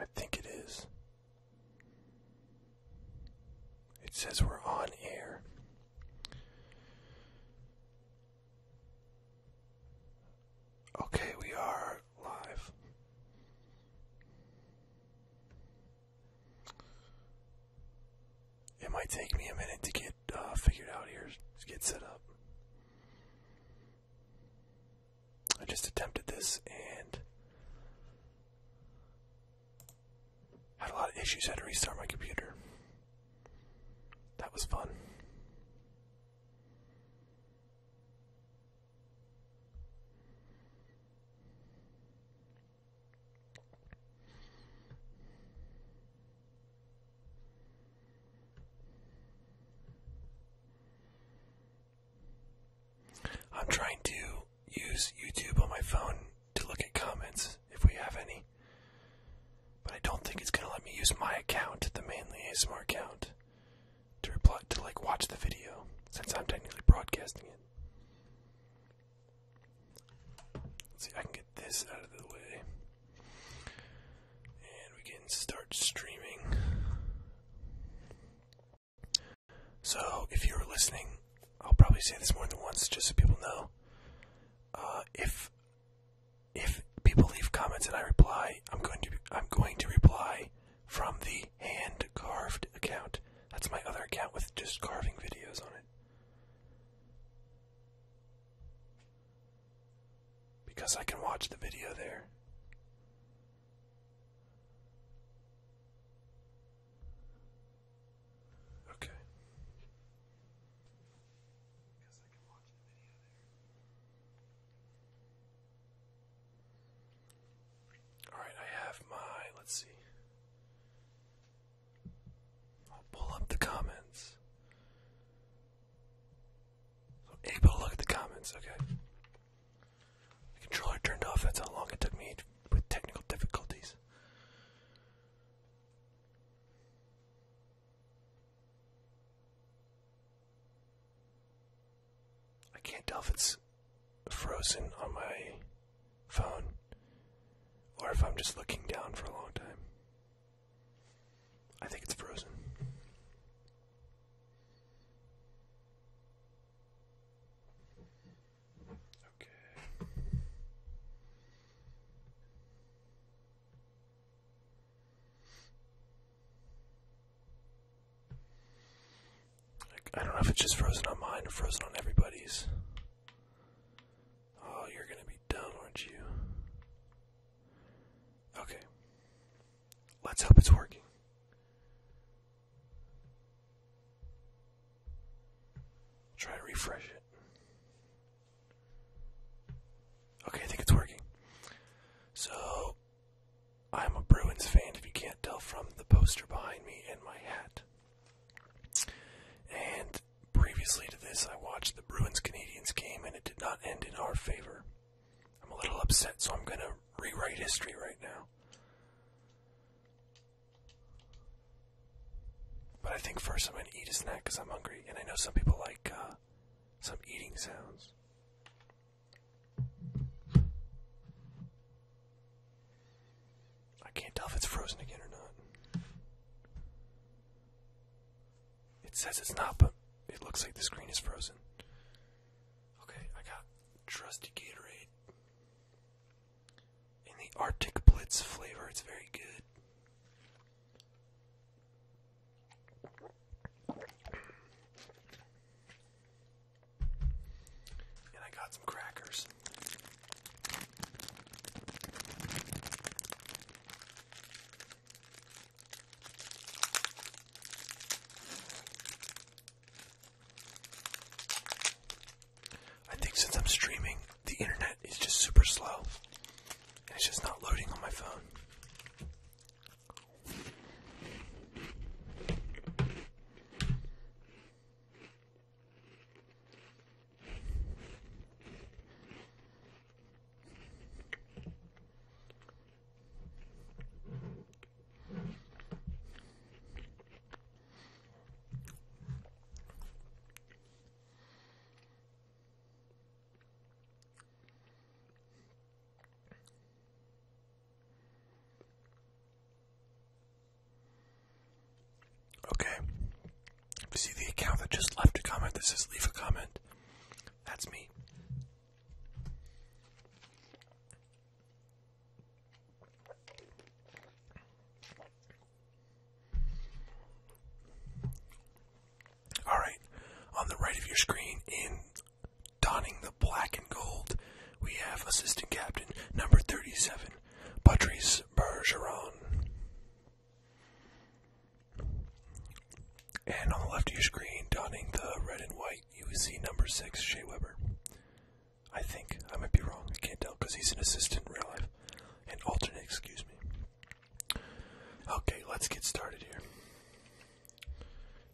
I think it is. It says we're on air. Okay, we are live. It might take me a minute to get uh, figured out here, to get set up. I just attempted this and had a lot of issues. Had to restart my computer. That was fun. I'm trying to use YouTube on my phone to look at comments if we have any. But I don't think it's gonna let me use my account, the mainly ASMR account, to reply to like watch the video, since I'm technically broadcasting it. see, I can get this out of the way. And we can start streaming. So, if you are listening, I'll probably say this more than once just so people know. Uh, if if people leave comments and I reply, I'm going to I'm going to reply from the hand carved account. That's my other account with just carving videos on it. Because I can watch the video there. Okay. Because I can watch the video there. Alright, I have my. Let's see. I'll pull up the comments able to look at the comments, okay. The controller turned off, that's how long it took me with technical difficulties. I can't tell if it's frozen on my phone or if I'm just looking down for a long time. I think it's frozen. Okay. I don't know if it's just frozen on mine or frozen on everybody's. Oh, you're gonna be done, aren't you? Okay. Let's hope it's working. Try to refresh it. Okay, I think it's working. So, I'm a Bruins fan, if you can't tell from the poster behind me and my hat. And previously to this, I watched the Bruins Canadians game, and it did not end in our favor. I'm a little upset, so I'm gonna rewrite history right now. But I think first I'm gonna eat a snack because I'm hungry, and I know some people like uh, some eating sounds. I can't tell if it's frozen again or not. It says it's not, but it looks like the screen is frozen. Okay, I got trusty Gatorade. In the Arctic Blitz flavor, it's very good. And I got some crackers. I think since I'm streaming, the internet is just super slow. And it's just not loading on my phone. Okay. If you see the account that just left a comment that says leave a comment, that's me. All right, on the right of your screen, in donning the black and gold, we have assistant captain number 37, Patrice Bergeron. And on the left of your screen, donning the red and white, you will see number six, Shea Weber. I think. I might be wrong. I can't tell because he's an assistant in real life. An alternate, excuse me. Okay, let's get started here.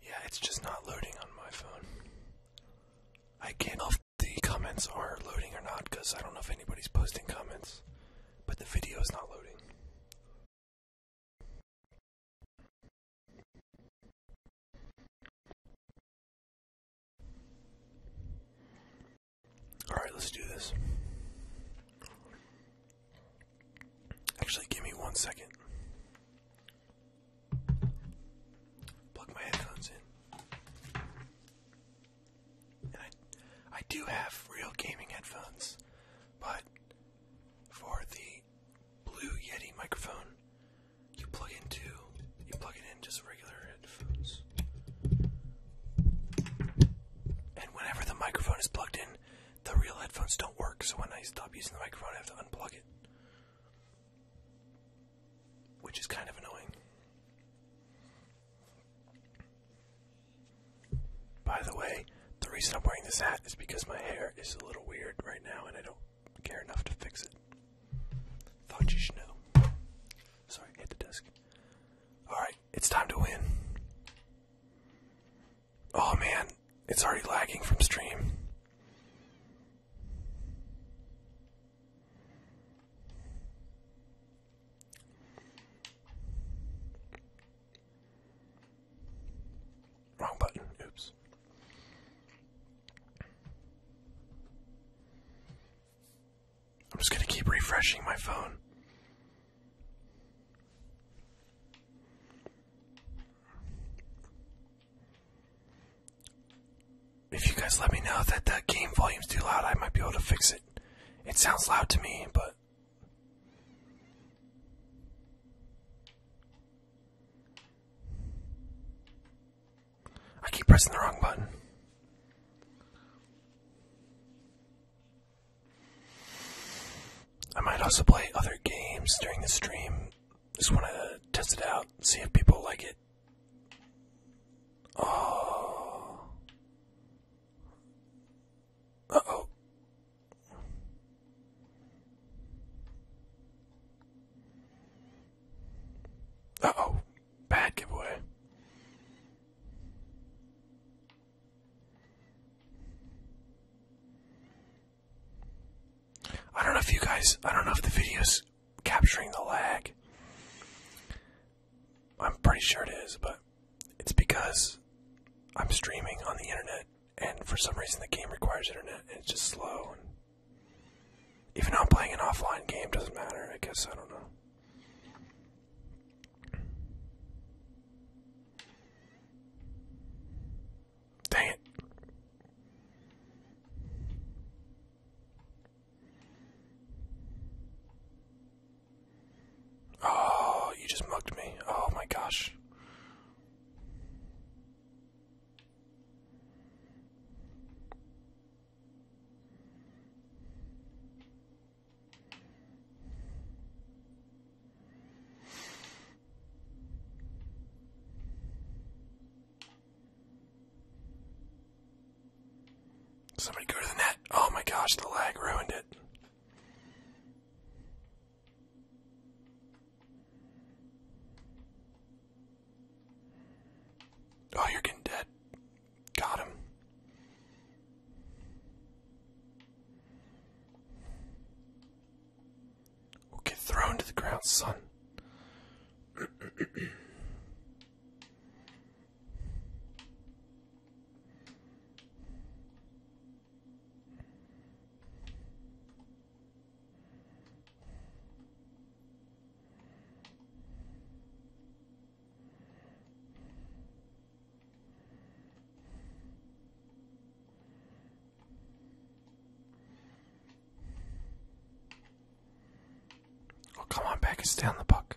Yeah, it's just not loading on my phone. I can't tell if the comments are loading or not because I don't know if anybody's posting comments, but the video is not loading. Alright, let's do this. Actually, give me one second. Plug my headphones in. I, I do have real gaming headphones, but for the Blue Yeti microphone. You plug into you plug it in just regular headphones. And whenever the microphone is plugged in, the real headphones don't work, so when I stop using the microphone I have to unplug it. Which is kind of annoying. By the way, the reason I'm wearing this hat is because my hair is a little weird right now and I don't care enough to fix it. Thought you should know. Sorry, hit the desk. Alright, it's time to win. Oh man, it's already lagging from stream. Wrong button. Oops. I'm just going to keep refreshing my phone. If you guys let me know that the game volume's too loud, I might be able to fix it. It sounds loud to me, but I keep pressing the wrong button. I might also play other games during the stream. Just want to test it out, see if people like it. Oh oh oh Bad giveaway. I don't know if you guys, I don't know if the video's capturing the lag. I'm pretty sure it is, but it's because I'm streaming on the internet and for some reason the game requires internet and it's just slow and even though I'm playing an offline game doesn't matter, I guess I don't know. Dang it. Oh, you just mugged me. Oh my gosh. Somebody go to the net. Oh my gosh, the lag ruined it. Oh, you're getting dead. Got him. We'll get thrown to the ground, son. Oh, come on, back and stay on the book.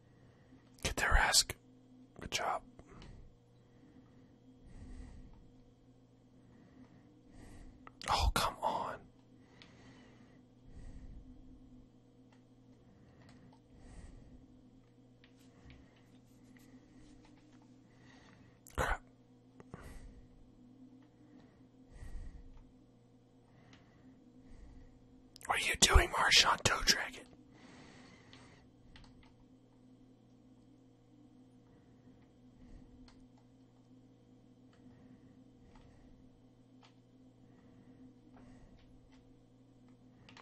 Get their ass. Good job. Oh, come on. Crap. What are you doing, Marshawn Toe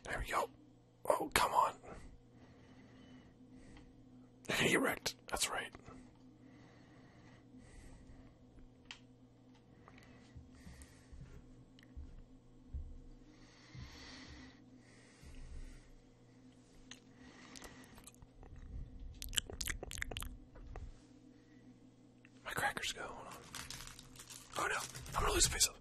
there we go. Oh, come on. He That's right. My crackers go. Hold on. Oh no! I'm gonna lose a piece of.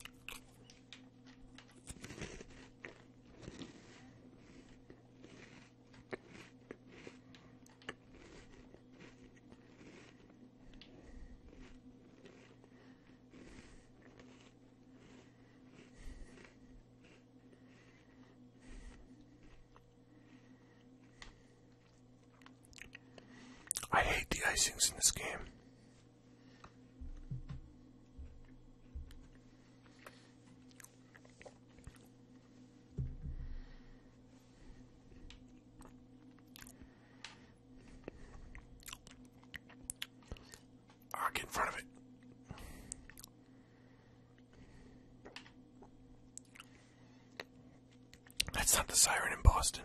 I hate the icings in this game. Ah, get in front of it. That's not the siren in Boston.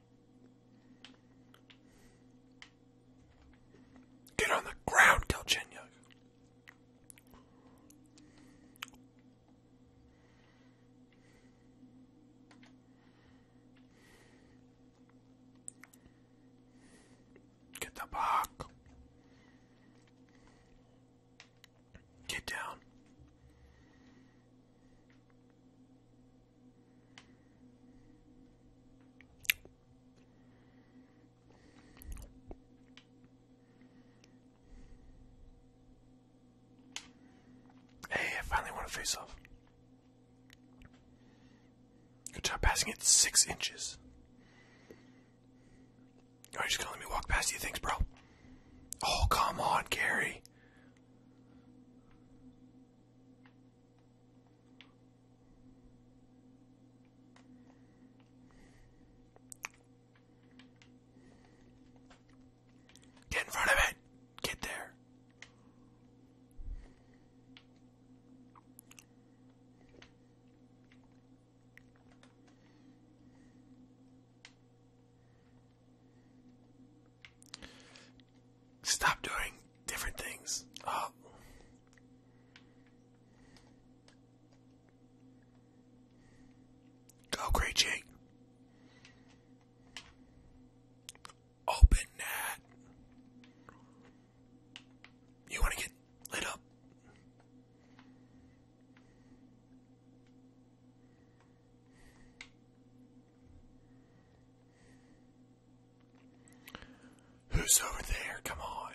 Get on the ground, Galchenyuk. Get the puck. Get down. Hey, I finally won a face off. Good job passing it six inches. Are you just gonna let me walk past you things, bro? Oh, come on, Gary. Get in front of it. Get there. Stop doing different things. Oh. Go, Great Open that. You want to get lit up? Who's over there? Come on.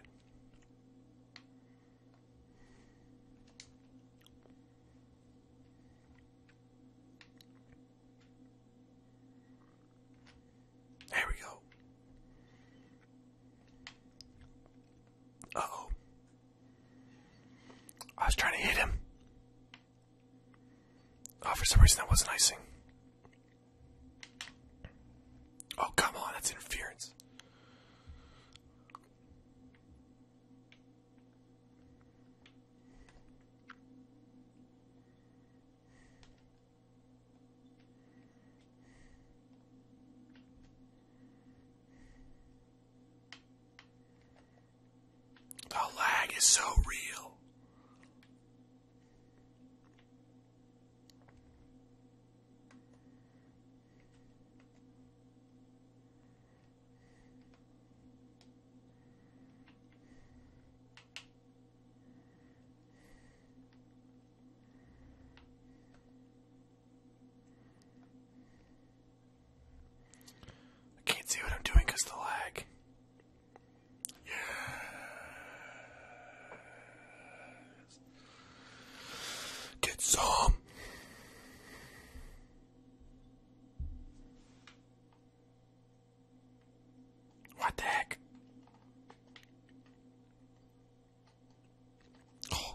There we go. Uh oh. I was trying to hit him. Oh, for some reason that wasn't icing. Oh, come on, that's interference. The lag is so real. I can't see what I'm doing the lag. Yes. Get some. What the heck? Oh.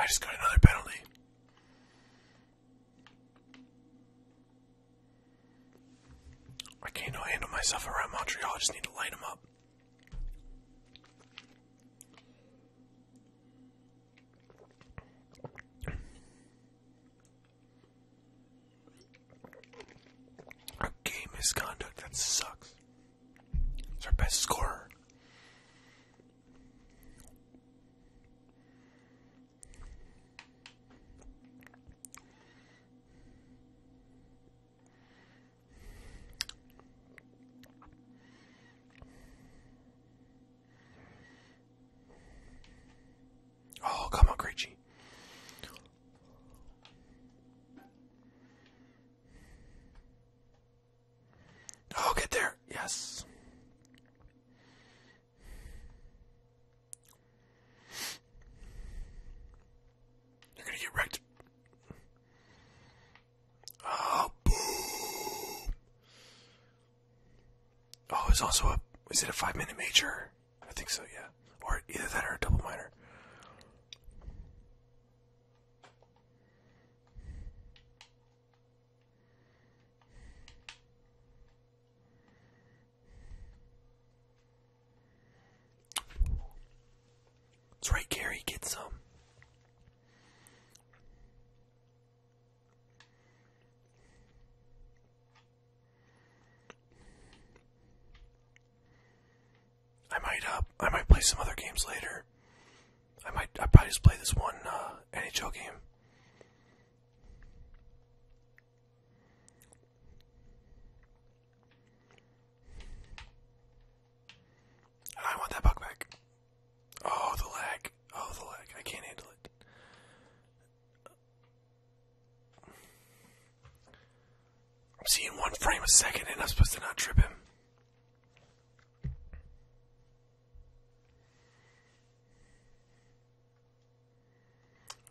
I just got another penalty. I can't handle myself around Montreal. I just need to light them up. Our misconduct, that sucks. It's our best scorer. Oh, come on, Creechy. Oh, get there. Yes. You're going to get wrecked. Oh, ah, boom. Oh, it's also a. Is it a five minute major? I think so, yeah. Or either that or a double minor. That's right, Gary. Get some. I might uh, I might play some other games later. I might I probably just play this one uh, NHL game. I want that puck back. Oh, the lag. Oh, the lag. I can't handle it. I'm seeing one frame a second and I'm supposed to not trip him.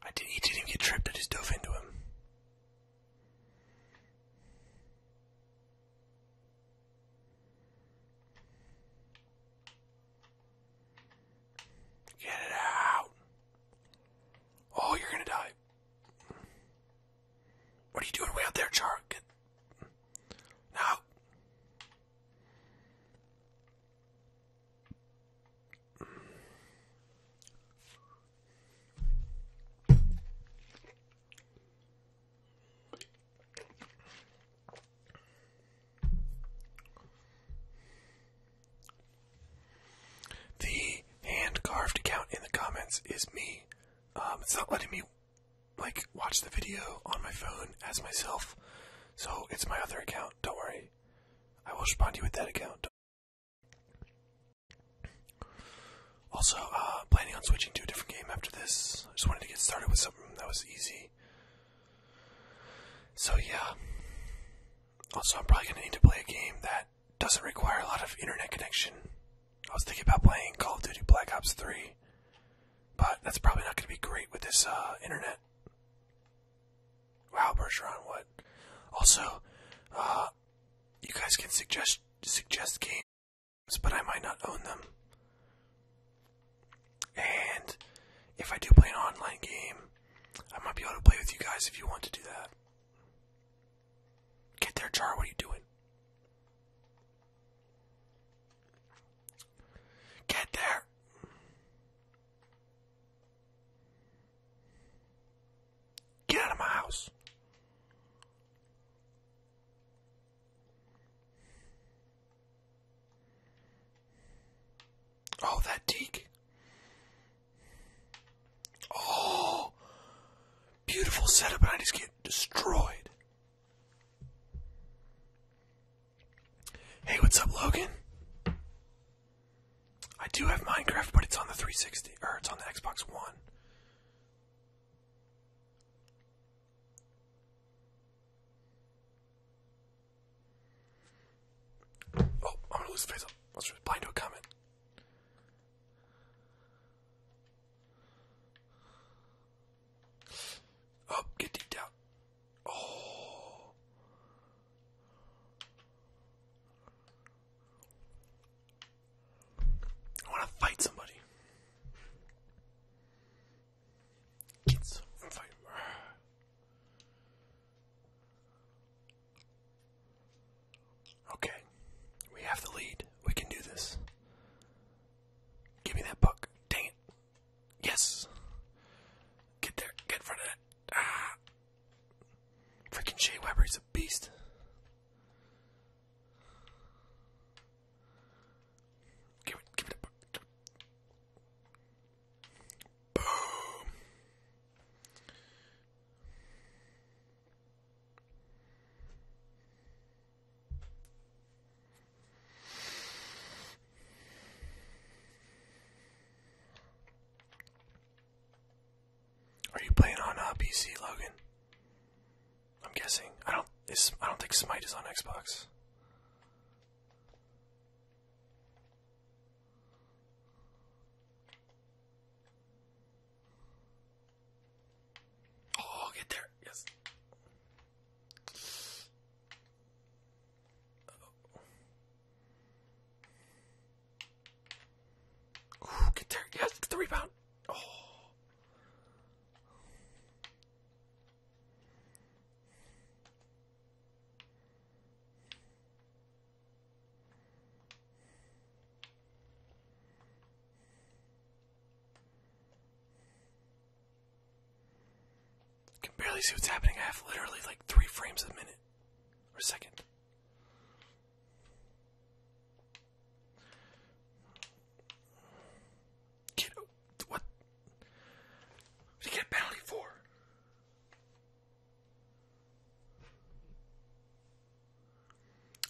I did, he didn't even get tripped, I just dove into him. Get it out. Oh, you're gonna die. What are you doing way out there, Char? Get... Now. The hand carved account in the comments is me. Um, it's not letting me like watch the video on my phone as myself, so it's my other account. Don't worry, I will respond to you with that account. Also, uh, planning on switching to a different game after this. I just wanted to get started with something that was easy. So, yeah. Also, I'm probably going to need to play a game that doesn't require a lot of internet connection. I was thinking about playing Call of Duty Black Ops 3, but that's probably not going to be great with this uh, internet. Wow, Bergeron, what? Also, uh, you guys can suggest suggest games but I might not own them. And if I do play an online game, I might be able to play with you guys if you want to do that. Get there, Char, what are you doing? Get there! Get out of my house! Oh, that teak. Oh, beautiful setup, and I just get destroyed. Hey, what's up, Logan? I do have Minecraft, but it's on the 360, or it's on the Xbox One. Oh, I'm gonna lose face up. Let's just reply to a comment. Oh, get deep down. Oh. I want to fight somebody. Get Okay, we have the lead. We can do this. Give me that puck. Dang it. Yes. Get there. Get in front of that. Ah. Freaking Shea Weber, he's a beast. Give it, give it a boom. Are you playing on a uh, PC, Logan? I'm guessing. I don't. I don't think Smite is on Xbox. Oh, get there! Yes. Ooh, get there! Yes, get the rebound! Oh. Can barely see what's happening. I have literally like three frames a minute or second. Get what? What did he get a penalty for?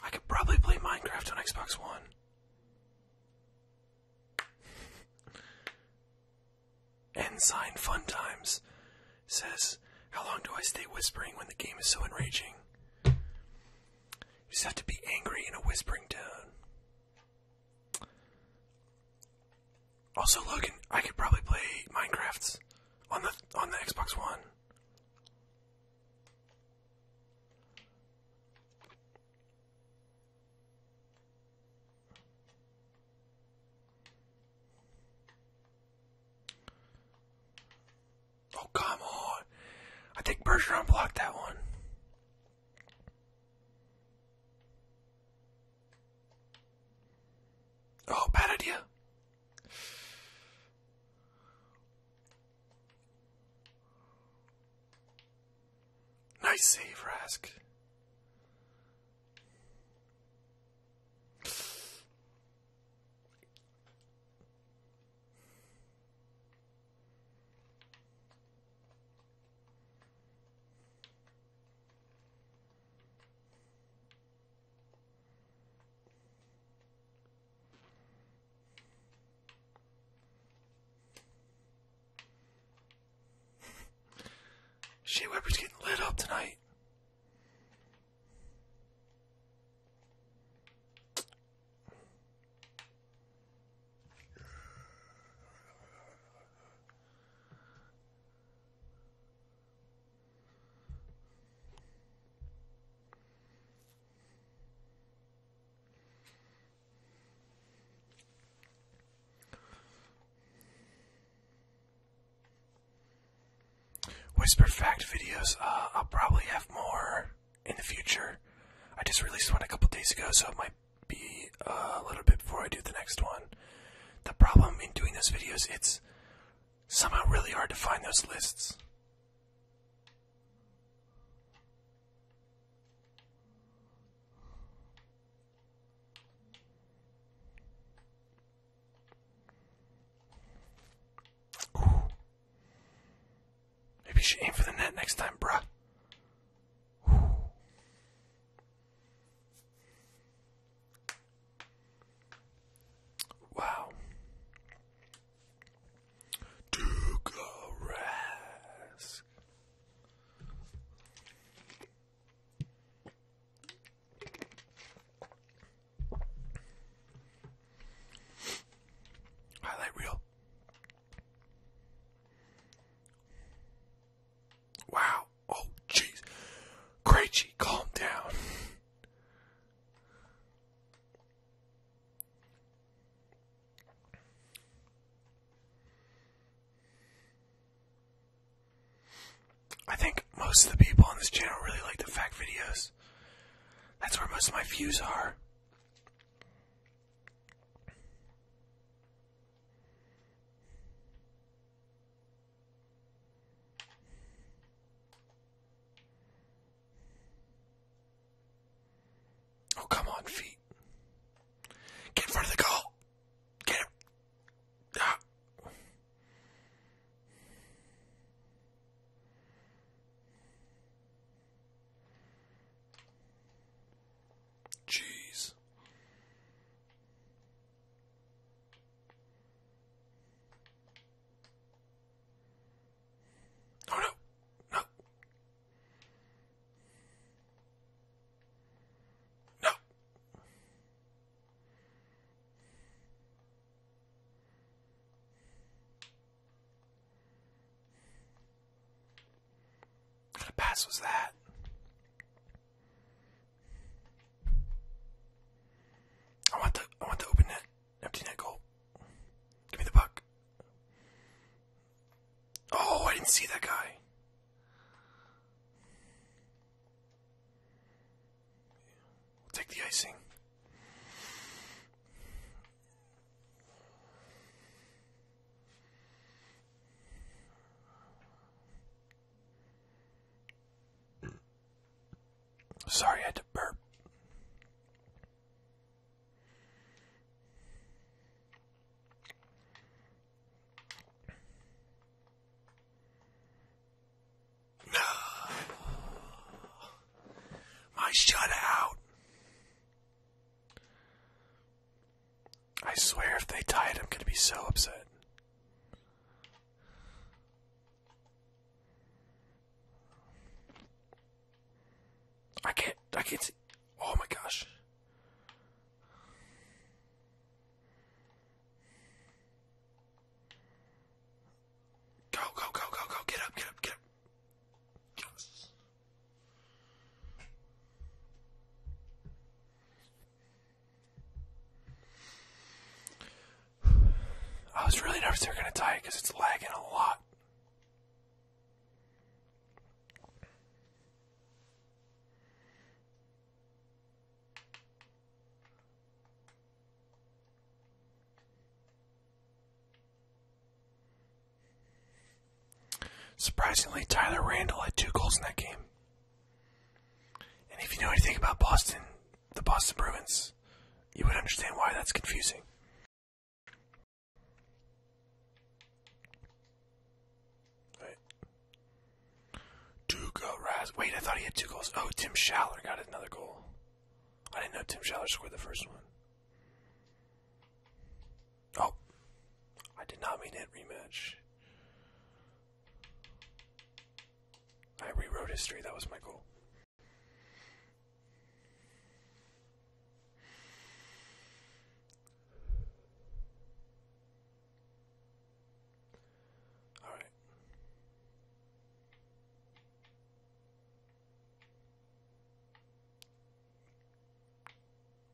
I could probably play Minecraft on Xbox One. Ensign Fun Times says, How long do I stay whispering when the game is so enraging? You just have to be angry in a whispering tone. Also, look, I could probably play Minecraft on the on the Xbox One. Oh come on! I think Bergeron blocked that one. Oh, bad idea. Nice save, Rask. Shit Whipper's getting lit up tonight. Whisper Fact videos, uh, I'll probably have more in the future. I just released one a couple days ago, so it might be uh, a little bit before I do the next one. The problem in doing those videos, it's somehow really hard to find those lists. Maybe she aim for the net next time, bruh. Wow. Duke Highlight reel. Wow. Oh, jeez. Krejci, calm down. I think most of the people on this channel really like the fact videos. That's where most of my views are. Oh, come on, feet. Get in front of the goal. Get it. Ah. Jeez. Oh no. No. No. What pass was that? I want the I want the open net, empty net goal. Give me the puck. Oh, I didn't see that guy. take the icing. Sorry, I had to burp. No. My shut out. I swear if they die, I'm going to be so upset. I can't, I can't Oh my gosh. Go, go, go, go, go. Get up, get up, get up. Yes. I was really nervous they were going to die because it's lagging a lot. Surprisingly, Tyler Randall had two goals in that game. And if you know anything about Boston, the Boston Bruins, you would understand why that's confusing. Right. Duga oh, Raz. Wait, I thought he had two goals. Oh, Tim Schaller got another goal. I didn't know Tim Schaller scored the first one. Oh, I did not mean it. rematch. I rewrote history, that was my goal. All right.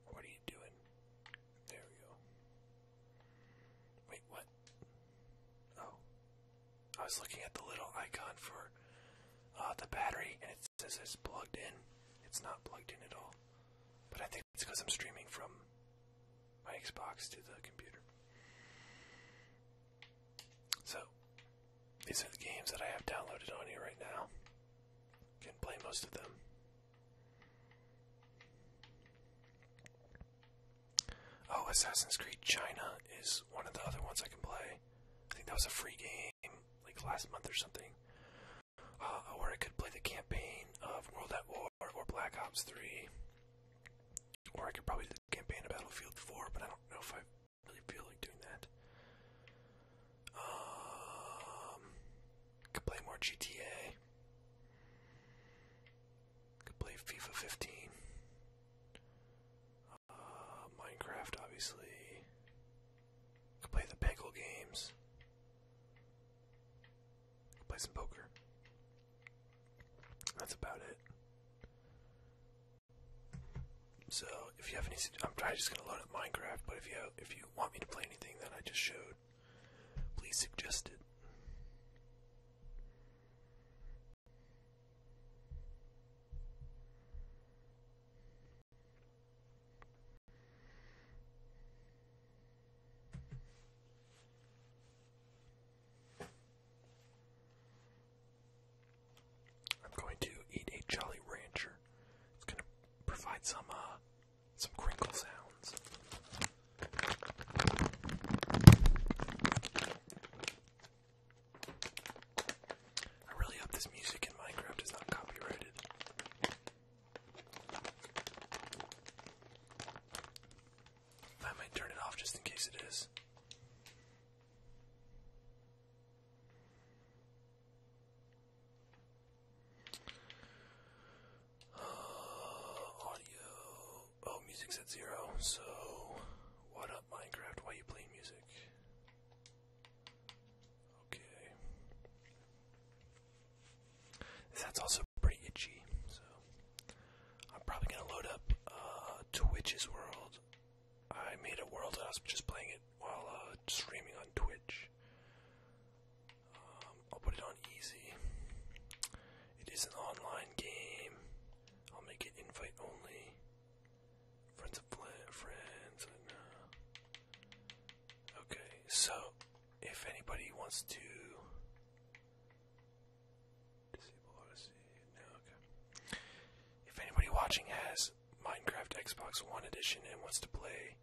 What are you doing? There we go. Wait, what? Oh. I was looking at the little icon for uh, the battery, and it says it's plugged in. It's not plugged in at all. But I think it's because I'm streaming from my Xbox to the computer. So, these are the games that I have downloaded on here right now. Can play most of them. Oh, Assassin's Creed China is one of the other ones I can play. I think that was a free game like last month or something. Uh, or I could play the campaign of World at War or Black Ops 3. Or I could probably do the campaign of Battlefield 4, but I don't know if I really feel like doing that. Um, could play more GTA. Could play FIFA 15. Uh, Minecraft, obviously. Could play the Peggle games. play some poker. That's about it. So if you have any, I'm just gonna load up Minecraft. But if you if you want me to play anything that I just showed, please suggest it. I'm going to eat a Jolly Rancher. It's gonna provide some uh some crinkle sounds. I really hope this music in Minecraft is not copyrighted. I might turn it off just in case it is. Uh, audio. Oh, music's at zero. So, what up, Minecraft? Why you playing music? Okay. That's also pretty itchy. So, I'm probably gonna load up uh, Twitch's world. I made a world that I was just playing it while uh, streaming on Twitch. Um, I'll put it on easy. It is an online game. I'll make it invite only. Friends of friends. Uh, okay, so if anybody wants to disable Odyssey, no, okay. If anybody watching has Minecraft Xbox One Edition and wants to play,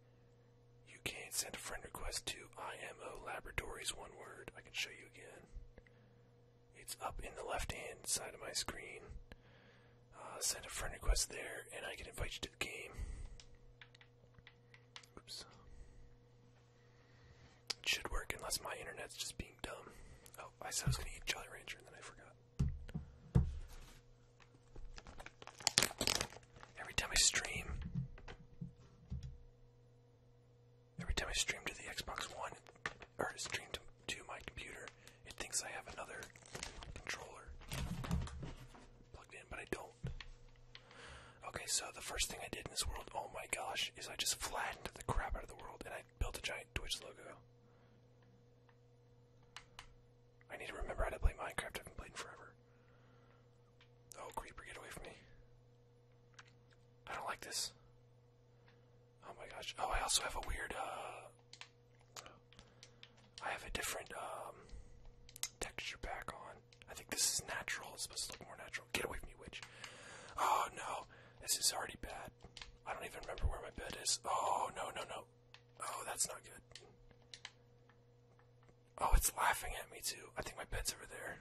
you can not send a friend request to IMO Laboratories, one word. I can show you again. It's up in the left hand side of my screen. Uh, send a friend request there, and I can invite you to the game. Oops. It should work unless my internet's just being dumb. Oh, I said I was going to eat Jolly Rancher, and then I forgot. Every time I stream, every time I stream to the Xbox One or stream to, my computer, it thinks I have another controller plugged in, but I don't. Okay, so the first thing I did in this world, oh my gosh, is I just flattened the crap out of the world and I built a giant Twitch logo. I need to remember how to play Minecraft. I have been playing in forever. Oh, creeper, get away from me. I don't like this. Oh my gosh. Oh, I also have a weird, uh, I have a different, um, Texture pack on. I think this is natural. It's supposed to look more natural. Get away from me, witch. Oh, no. This is already bad. I don't even remember where my bed is. Oh, no, no, no. Oh, that's not good. Oh, it's laughing at me too. I think my bed's over there.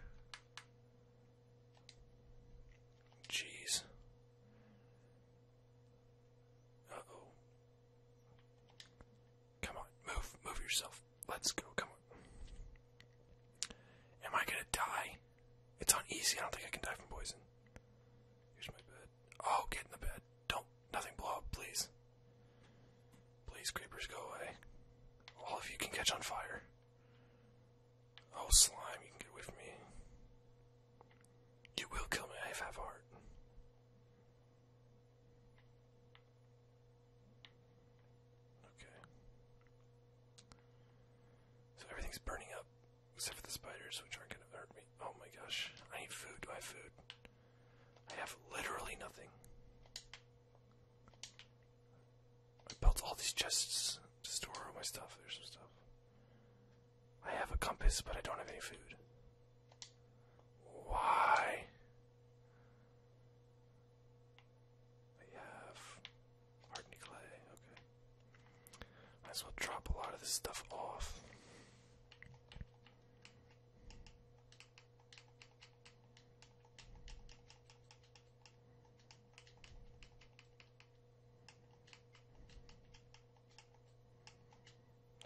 Jeez. Uh oh. Come on, move, move yourself. Let's go, come on. Am I gonna die? It's on easy, I don't think I can die from poison. Here's my bed. Oh, get in the bed. Don't. Nothing blow up, please. Please, creepers, go away. All of you can catch on fire. Oh, slime, you can get away from me. You will kill me. if I have half heart. Okay. So everything's burning up, except for the spiders, which aren't gonna hurt me. Oh my gosh. I need food. Do I food? I have literally nothing. I built all these chests to store all my stuff. There's some stuff. I have a compass, but I don't have any food. Why? I have hardened clay. Okay. Might as well drop a lot of this stuff off.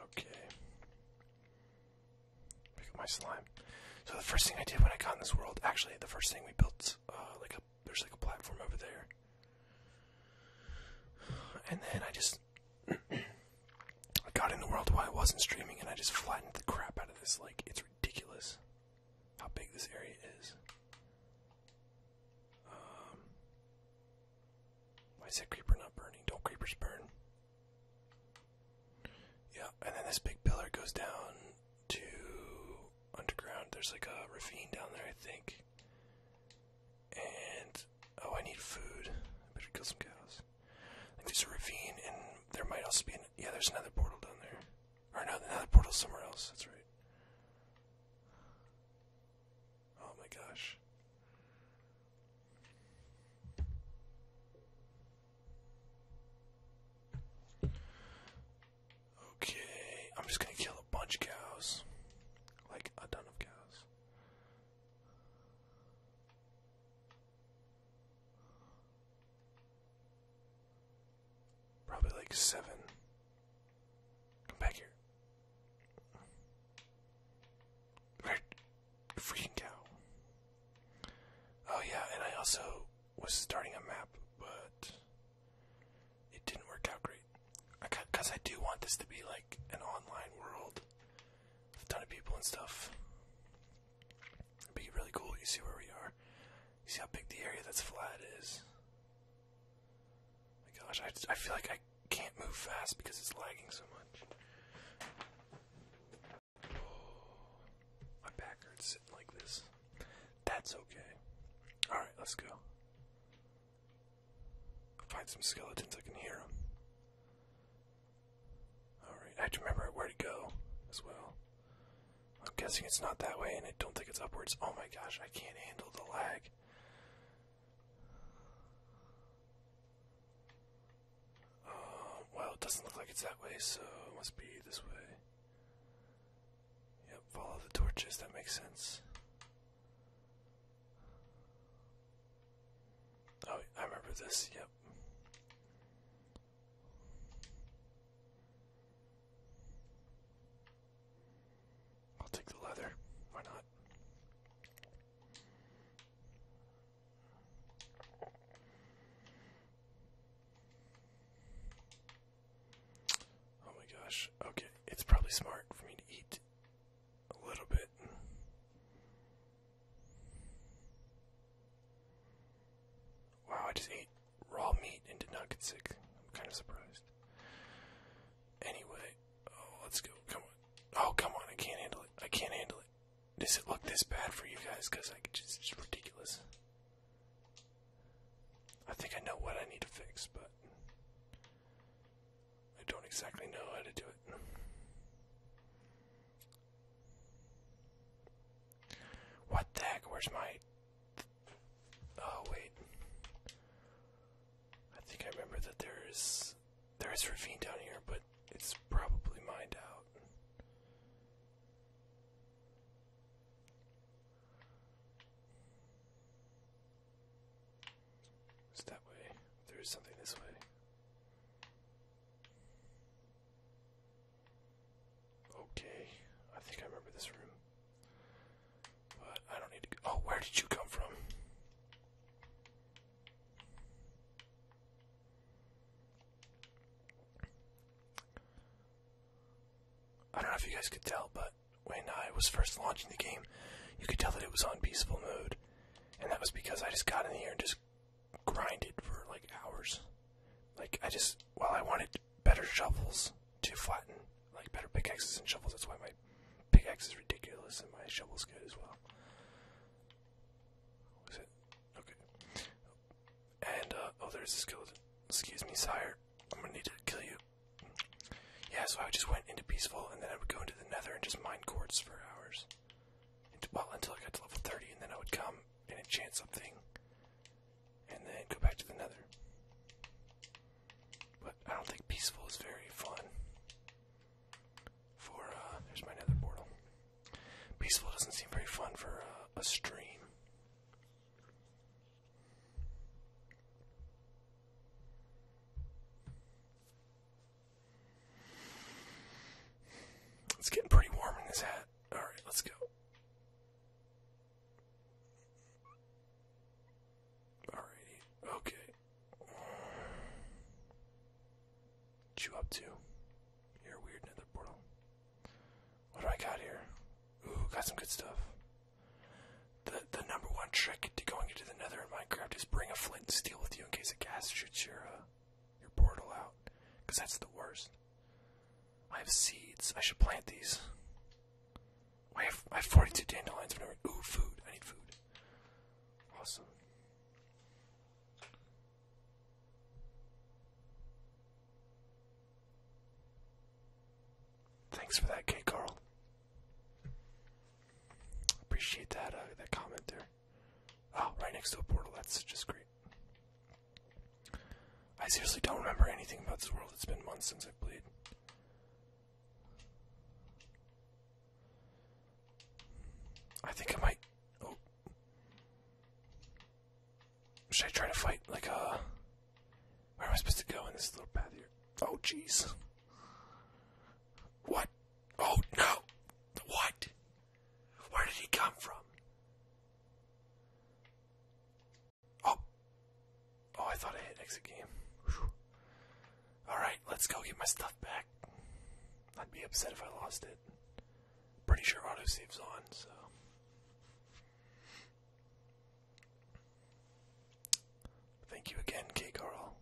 Okay. Pick up my slime. So the first thing I did when I got in this world, actually, the first thing we built, uh, like there's like a platform over there, and then I just I got in the world while I wasn't streaming, and I just flattened the crap out of this. Like it's ridiculous how big this area is. Um, why is that creeper not burning? Don't creepers burn? Yeah, and then this big pillar goes down to underground. There's like a ravine down there, I think. And Oh, I need food. I better kill some cows. I think there's a ravine, and there might also be an. Yeah, there's another portal down there. Or no, another portal somewhere else. That's right. Oh my gosh. Okay, I'm just gonna kill a bunch of cows. Like a ton of cows. Probably like seven. Come back here. Right. Freaking cow. Oh, yeah, and I also was starting a map, but it didn't work out great. Because I, do want this to be like an online world a ton of people and stuff. It'd be really cool. You see where we are. You see how big the area that's flat is. my gosh, I, I feel like I can't move fast because it's lagging so much. Oh, my back hurts sitting like this. That's okay. Alright, let's go. Find some skeletons, I can hear them. Alright, I have to remember where to go as well. I'm guessing it's not that way, and I don't think it's upwards. Oh my gosh, I can't handle the lag. Uh, well, it doesn't look like it's that way, so must be this way. Yep, follow the torches, that makes sense. Oh, I remember this. Yep. I'll take the leather. Why not? Oh my gosh. Okay, it's probably smart for me to eat a little bit. Wow, I just ate raw meat and did not get sick. I'm kind of surprised. Anyway, oh, let's go. Come on. Oh, come on. I can't handle it. I can't handle it. Does it look this bad for you guys? Because I just, it's ridiculous. I think I know what I need to fix, but I don't exactly know how to do it. What the heck? Where's my. Oh, wait. I think I remember that there is. There is ravine down here, but it's probably mined out. It's that way. There is something this way. Okay, I think I remember this room. But I don't need to Oh, where did you come from? I don't know if you guys could tell, but when I was first launching the game, you could tell that it was on peaceful mode. And that was because I just got in here and just grinded for like hours. Like I just well I wanted better shovels to flatten, like better pickaxes and shovels. That's why my pickaxe is ridiculous and my shovel's good as well. okay? And uh, oh, there's a skeleton. Excuse me, sire. I'm gonna need to kill you. Yeah, so I just went into peaceful, and then I would go into the Nether and just mine quartz for hours well until I got to level 30, and then I would come and enchant something, and then go back to the Nether. But I don't think peaceful is very fun. For uh, there's my Nether portal. Peaceful doesn't seem very fun for uh, a stream. It's getting pretty warm in this hat. Alright, let's go. Alrighty, okay. What you up to? You're a weird nether portal. What do I got here? Ooh, got some good stuff. The the number one trick to going into the nether in Minecraft is bring a flint and steel with you in case a gas shoots you. Uh, your portal out. that's the worst. I have seeds. I should plant these. I have, I have 42 dandelions. Whenever, ooh, food. I need food. Awesome. Thanks for that, K. Carl. Appreciate that uh, that comment there. Oh, right next to a portal. That's just great. I seriously don't remember anything about this world. It's been months since I've played. I think I might. Oh. Should I try to fight like a. Uh, where am I supposed to go in this little path here? Oh, jeez. What? Oh, no! What? Where did he come from? Oh. Oh, I thought I hit exit game. All right, let's go get my stuff back. I'd be upset if I lost it. Pretty sure autosave's on, so. Thank you again, K. girl.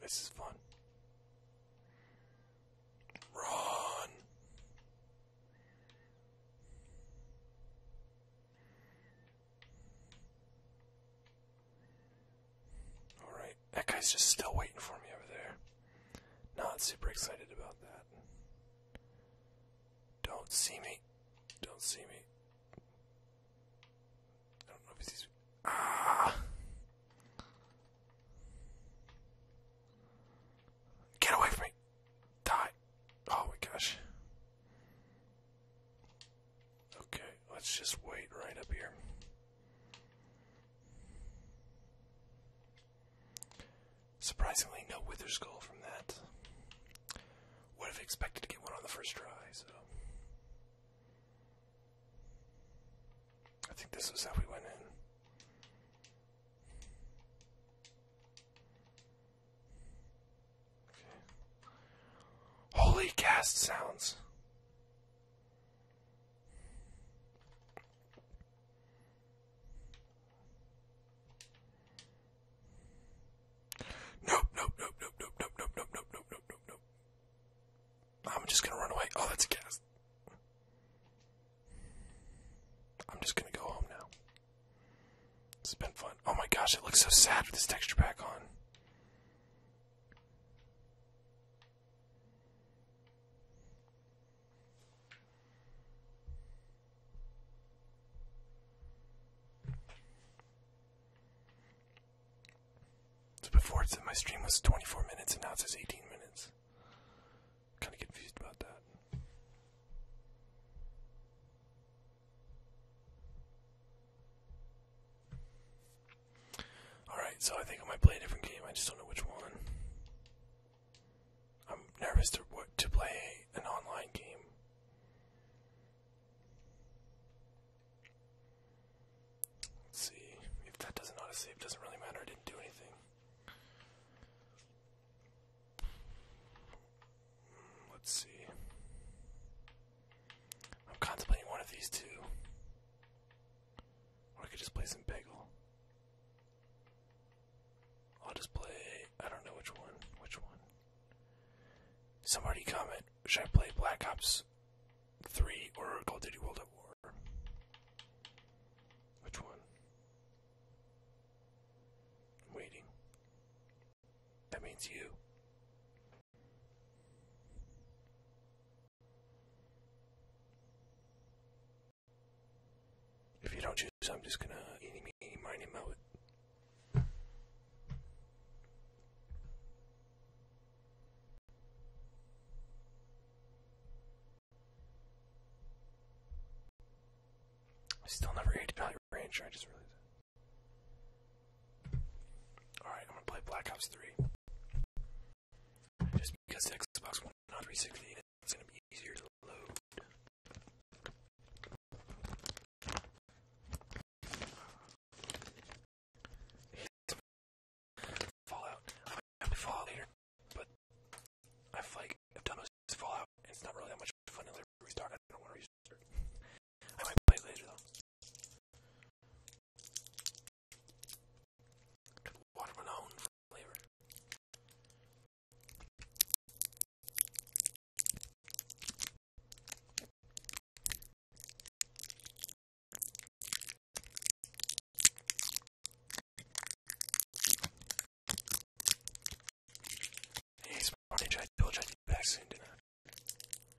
This is fun. Run. Alright, that guy's just still waiting for me over there. Not super excited about that. Don't see me. Don't see me. I don't know if he's. Ah! Get away from me! Die! Oh my gosh. Okay, let's just wait right up here. Surprisingly, no wither skull from that. Would have expected to get one on the first try, so. I think this was how we went in. Holy cast sounds. Nope, nope, nope, nope, nope, nope, nope, nope, nope, nope, nope, nope, I'm just gonna run away. Oh, that's a gas. I'm just gonna go home now. It's been fun. Oh my gosh, it looks so sad with this texture back on. So before it said my stream was 24 minutes and now it says 18 minutes. Kind of confused about that. Alright, so I think I might play a different game, I just don't know which one. I'm nervous to what to play an online game. Let's see. If that doesn't auto save, doesn't really matter, I didn't do anything. Hmm, let's see. I'm contemplating one of these two. Or I could just play some bagel. I'll just play. I don't know which one. Which one? Somebody comment. Should I play Black Ops 3 or Call of Duty World at War? Which one? waiting. That means you. If you don't choose, I'm just gonna eeny, meeny, miny, moe it. I still never ate Valley Rancher, I just realized Alright, I'm gonna play Black Ops 3. Just because Xbox One 360 is going to be easier to load. Fallout. I have to Fallout later, but I've like I've done most Fallout, and it's not really that much fun unless restart. I don't want to restart. I might play later though. Watermelon flavor. Hey, it's I told you I did vaccine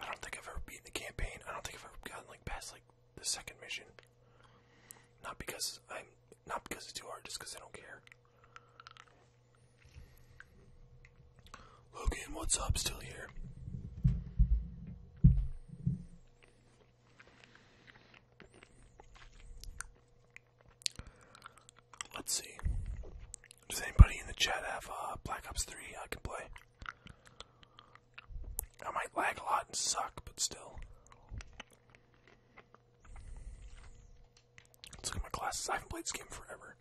I don't think I've ever beaten the campaign. I don't think I've ever gotten like past like the second mission. Not because I'm not because it's too hard, just because I don't care. Logan, what's up? Still here. Let's see. Does anybody in the chat have uh, Black Ops 3 I can play? I might lag a lot and suck, but still. Let's look at my classes. I haven't played this game forever.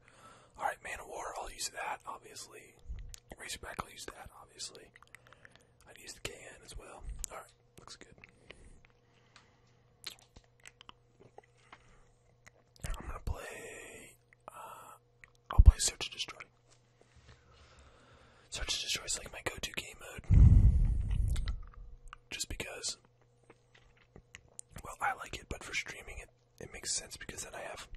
Alright, Man of War, I'll use that, obviously. Razorback, I'll use that, obviously. i use the can as well. Alright, looks good. I'm gonna play. Uh, I'll play Search and Destroy. Search and Destroy is like my go-to game mode, just because. Well, I like it, but for streaming, it it makes sense because then I have.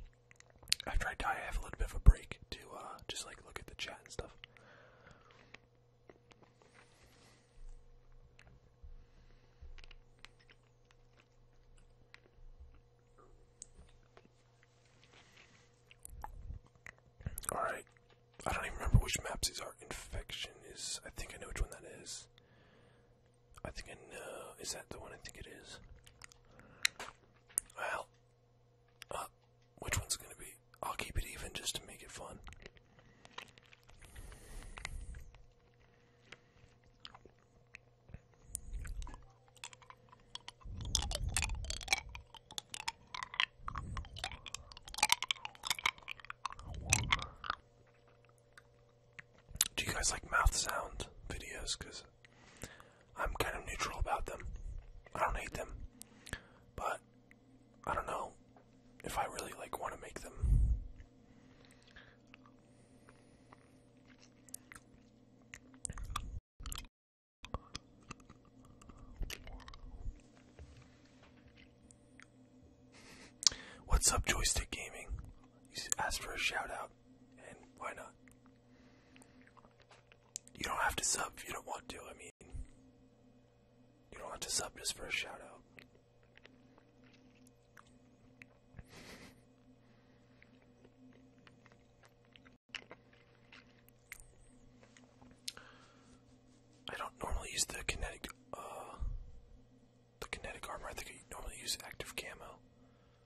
After I die, I have a little bit of a break to uh, just like look at the chat and stuff. Alright. I don't even remember which maps these are. Infection is. I think I know which one that is. I think I know. Is that the one I think it is? Well. Uh, which one's gonna be? I'll keep it even just to make it fun. Do you guys like mouth sound videos? Because I'm kind of neutral about them. I don't hate them, but I don't know if I really like want to make them. What's up, Joystick Gaming? You asked for a shout out, and why not? You don't have to sub if you don't want to. I mean, you don't have to sub just for a shout out. I don't normally use the kinetic uh the kinetic armor. I think I normally use active camo.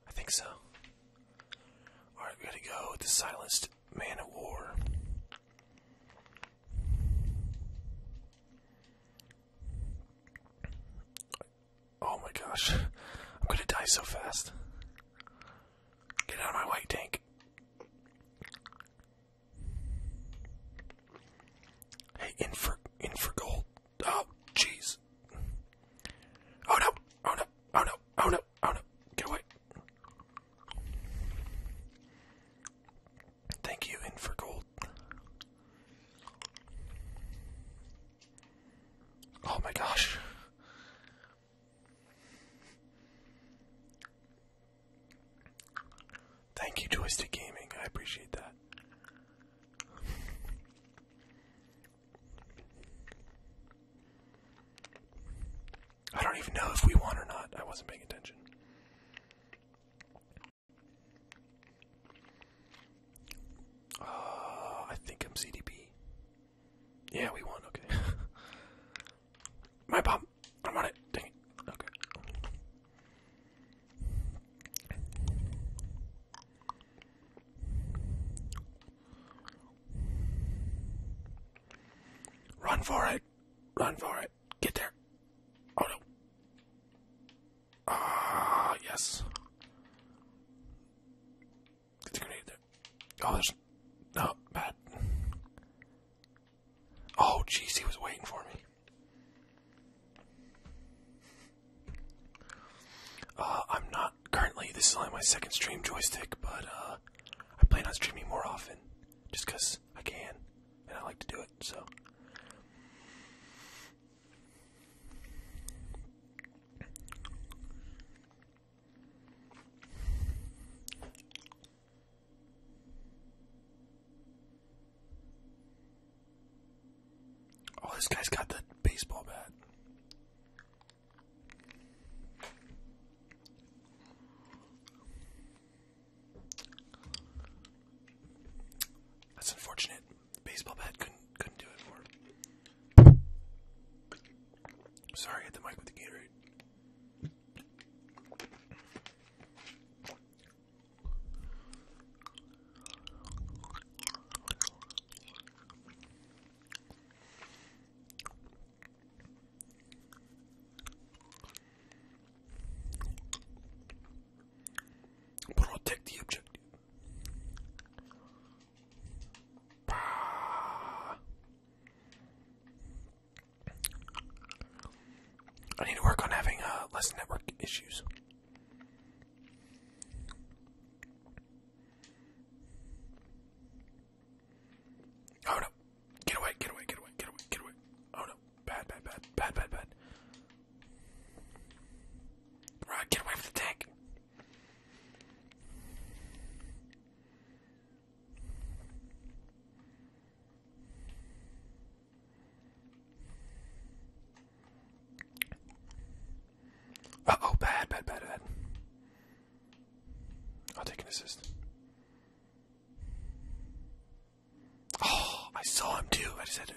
I think so. Alright, gotta go the silenced man at war. Oh my gosh. I'm gonna die so fast. Get out of my white tank. Hey, in for in for gold. Oh, jeez. Oh no! Oh no! Oh no! Oh no! Oh no! Get away! Thank you, in for gold. Oh my gosh. Thank you, Joystick Gaming. I appreciate that. I don't even know if we won or not. I wasn't paying attention. Uh, I think I'm CDP. Yeah, we won. Okay. My bomb. I'm on it. Dang it. Okay. Run for it. Run for it. Get there. Oh no. Ah, yes. Get the grenade there. Oh, there's no bad. Oh, jeez, he was waiting for me. Uh, I'm not currently. This is only my second stream joystick, but uh, I plan on streaming more often, just I can and I like to do it. So. Oh, this guy's got the baseball bat. That's unfortunate baseball bat couldn't couldn't do it for. Sorry, hit the mic with the Gatorade. Protect the objective. I need to work on having uh, less network issues. Oh no! Get away! Get away! Get away! Get away! Get away! Oh no! Bad! Bad! Bad! Bad! Bad! Right, get away from the tank. Uh oh, bad, bad, bad, bad. I'll take an assist. Oh, I saw him too. I just had to.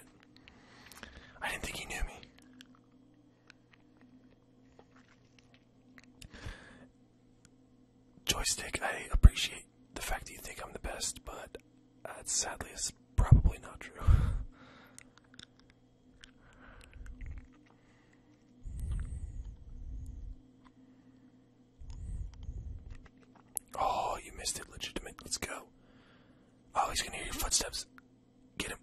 I didn't think he knew me. Joystick, I appreciate the fact that you think I'm the best, but sadly it's probably not true. oh, you missed it. Legitimate. Let's go. Oh, he's gonna hear your footsteps. Get him.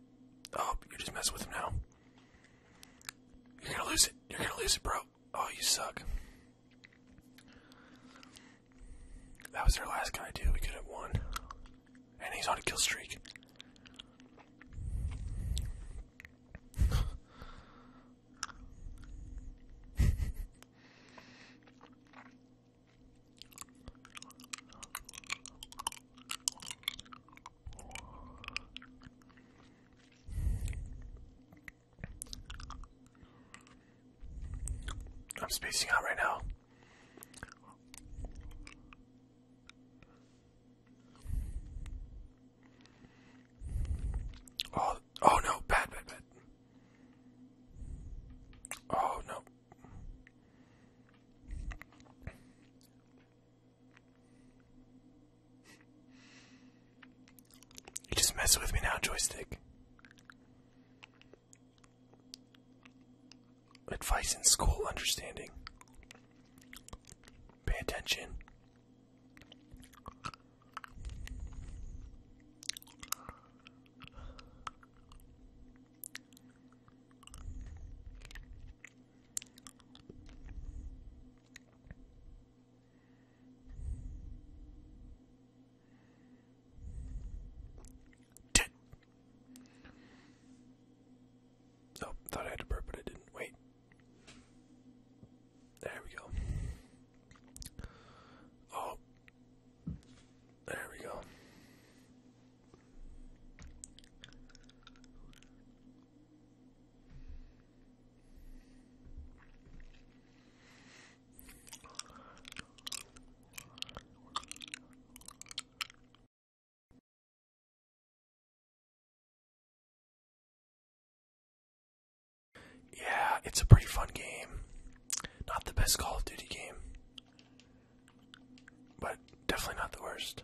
Oh, you're just messing with him now. You're gonna lose it. You're gonna lose it, bro. Oh, you suck. That was their last guy, dude. We could have won. And he's on a kill streak. I'm spacing out right now. Oh, oh no, bad, bad, bad. Oh no. You just mess with me now, joystick. Advice in school understanding. Pay attention. Ten. Oh, thought I had to burp, but I didn't. Wait. There we go. Oh, there we go. Yeah, it's a pretty fun game. Not the best Call of Duty game. But definitely not the worst.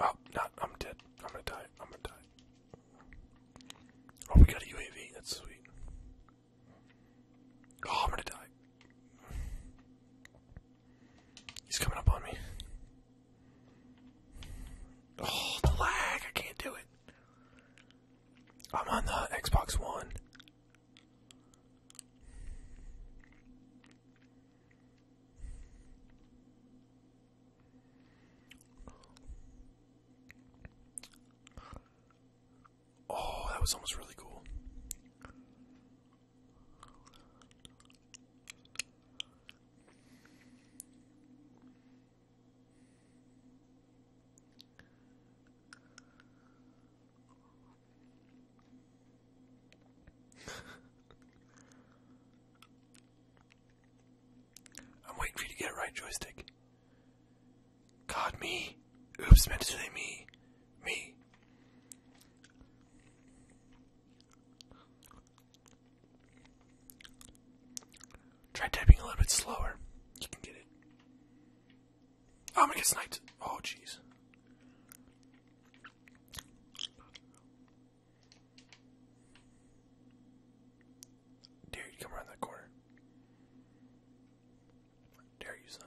Oh, not I'm dead. I'm gonna die. I'm gonna die. Oh, we got a UAV. That's sweet. Oh, I'm gonna die. He's coming up on me. Oh, the lag! I can't do it. I'm on the Xbox One. Oh, that was almost really cool. I'm waiting for you to get right, joystick. God, me. Oops, meant to say me. Me. Try typing a little bit slower. You can get it. Oh, I'm gonna get sniped. Oh, jeez. Dare you come around that corner. Dare you, son.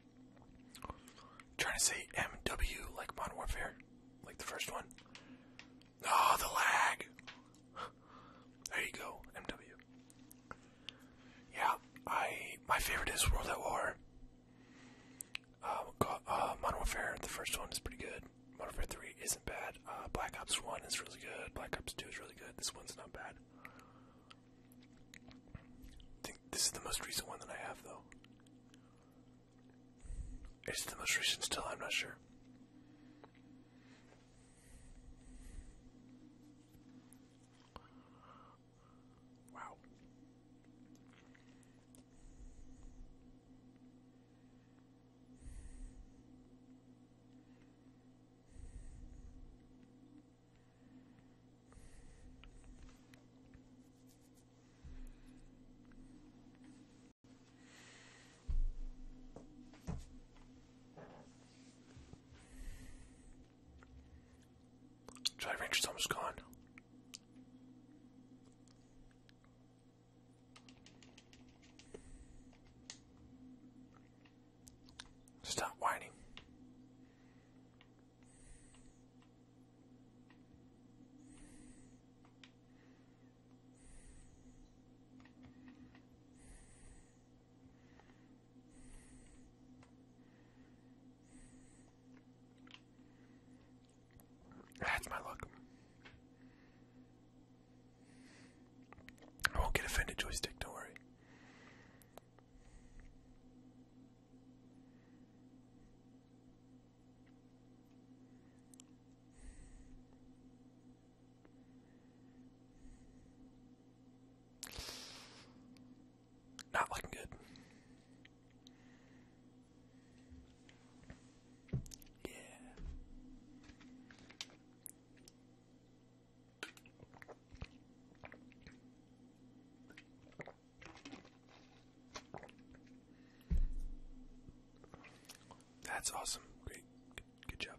Trying to say MW like Modern Warfare, like the first one. Oh, the lag. There you go, MW. Yeah, I my favorite is World at War. Uh, uh, Modern Warfare, the first one is pretty good. Modern Warfare 3 isn't bad. Uh, Black Ops 1 is really good. Black Ops 2 is really good. This one's not bad. I think this is the most recent one that I have, though. It's the most recent still, I'm not sure. Wow. Jolly Rancher's almost gone. Stop whining. That's my luck. I won't get offended, joystick, don't worry. Not looking good. Yeah. That's awesome. Great. Good, job.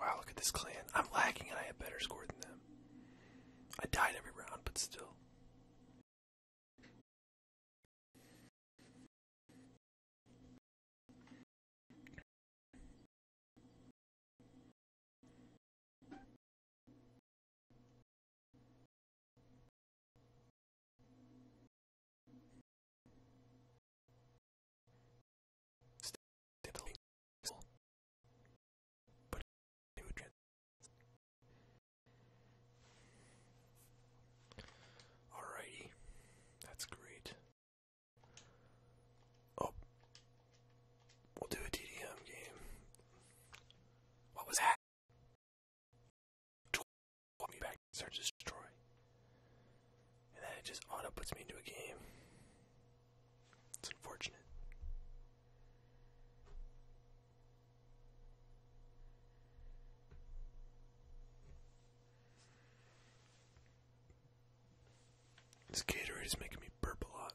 Wow, look at this clan. I'm lagging, and I have better score than them. I died every round, but still. Alrighty, that's great. Oh, We'll do a DDM game. What was that? Want me back to destroy. And then just auto puts me into a game. It's unfortunate. This Gatorade is making me burp a lot.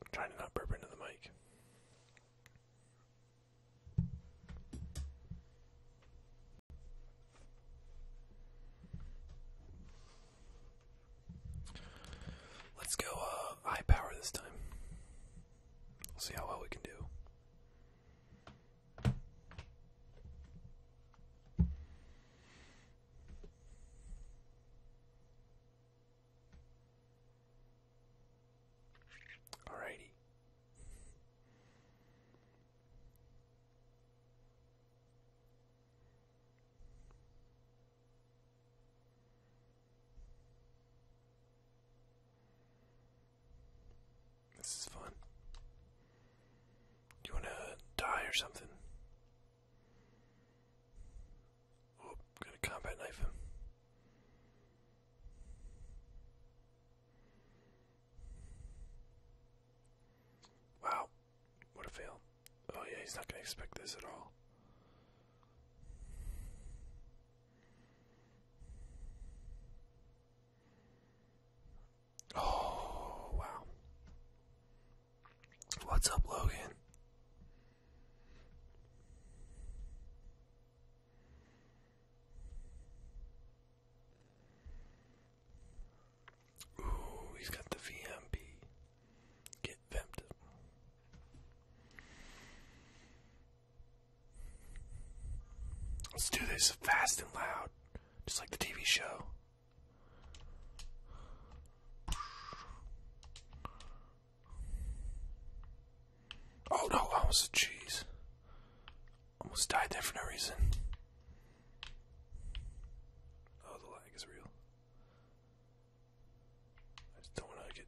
I'm trying to not burp into the mic. Let's go uh, high power this time. see how well we can do. Alrighty. This is fun. Do you want to die or something? Oh, I'm combat knife Wow, what a fail. Oh yeah, he's not gonna expect this at all. Oh wow. What's up, Logan? Ooh, he's got the VMP. Get vamped. Let's do this fast and loud, just like the TV show. Oh no, I was a cheese. Almost died there for no reason. Oh, the lag is real. I just don't want to get.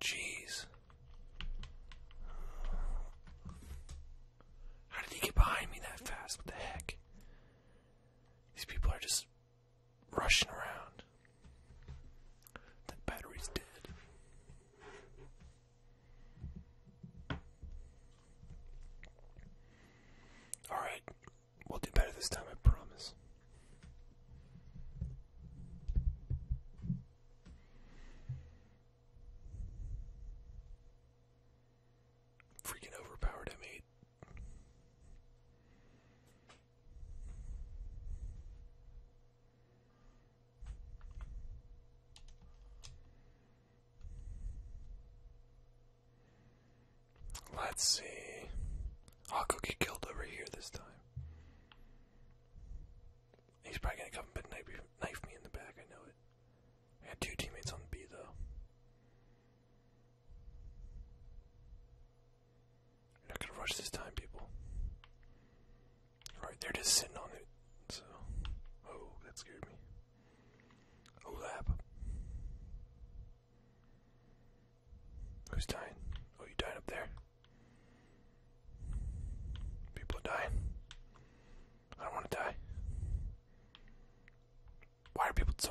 Jeez. How did he get behind me that fast? What the heck? These people are just rushing around. That battery's dead. Alright, we'll do better this time, I promise. Freaking overpowered m Let's see. I'll go get killed over here this time. He's probably gonna come and knife me in the back, I know it. I got two teammates on the B though. I'm not gonna rush this time, people. Right, they're just sitting on it, so. Oh, that scared me. Oh, lap. Who's dying? Oh, you dying up there? People are dying. I don't want to die. Why are people so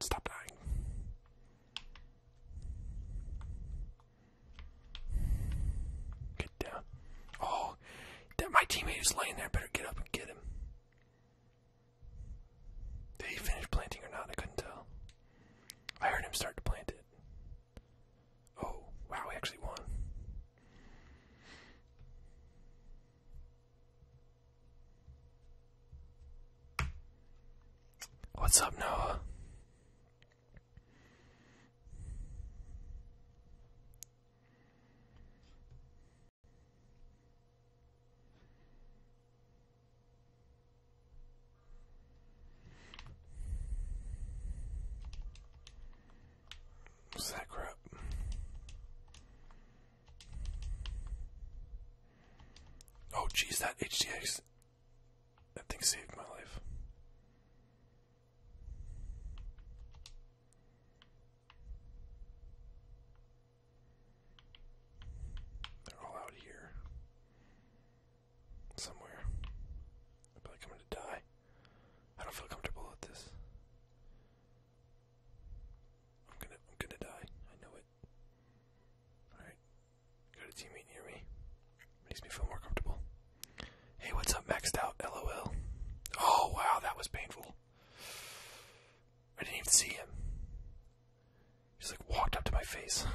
stop dying? Get down. Oh, that my teammate is laying there. better get up and get him. Did he finish planting or not? I couldn't tell. I heard him start to plant it. Oh, wow, he actually won. What's up, Noah? What's that crap? Oh, geez, that HDX. That thing saved my life. They're all out here. Somewhere. I feel like I'm gonna die. I don't feel comfortable with this. I'm gonna I'm gonna die. I know it. Alright. Got a teammate near me. Makes me feel more comfortable. Hey, what's up, maxed out? LOL. Oh, wow, that was painful. I didn't even see him. He just like walked up to my face.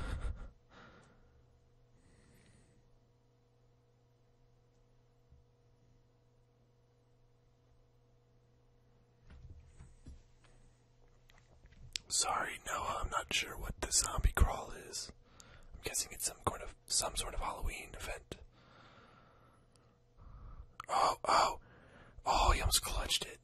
Sorry, Noah, I'm not sure what the zombie crawl is. I'm guessing it's some kind of some sort of Halloween event. Oh, oh, oh! He almost clutched it.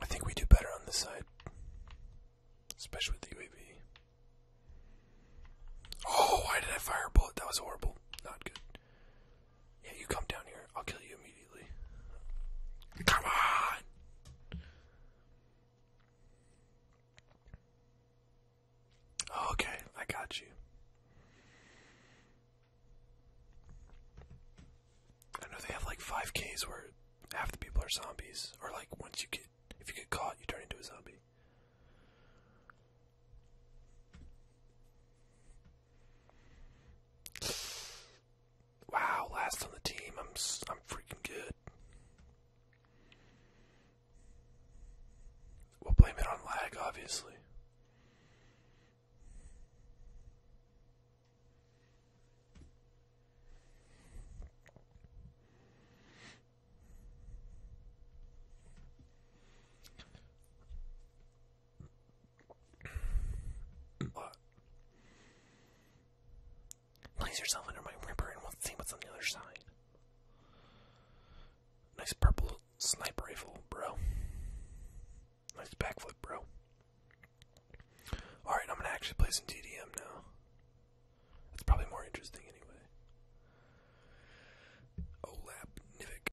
I think we do better on this side, especially with the UAV. Oh, why did I fire a bullet? That was horrible. Not good. Yeah, you come down here. I'll kill you immediately. Come on! Oh, okay, I got you. I know they have like 5Ks where half the people are zombies, or like once you get, if you get caught, you turn into a zombie. Wow, last on the team. I'm I'm freaking good. We'll blame it on lag, obviously. Place yourself under my ripper and we'll see what's on the other side. Nice purple sniper rifle, bro. Nice backflip, bro. Alright, I'm gonna actually play some TDM now. That's probably more interesting anyway. Olap oh,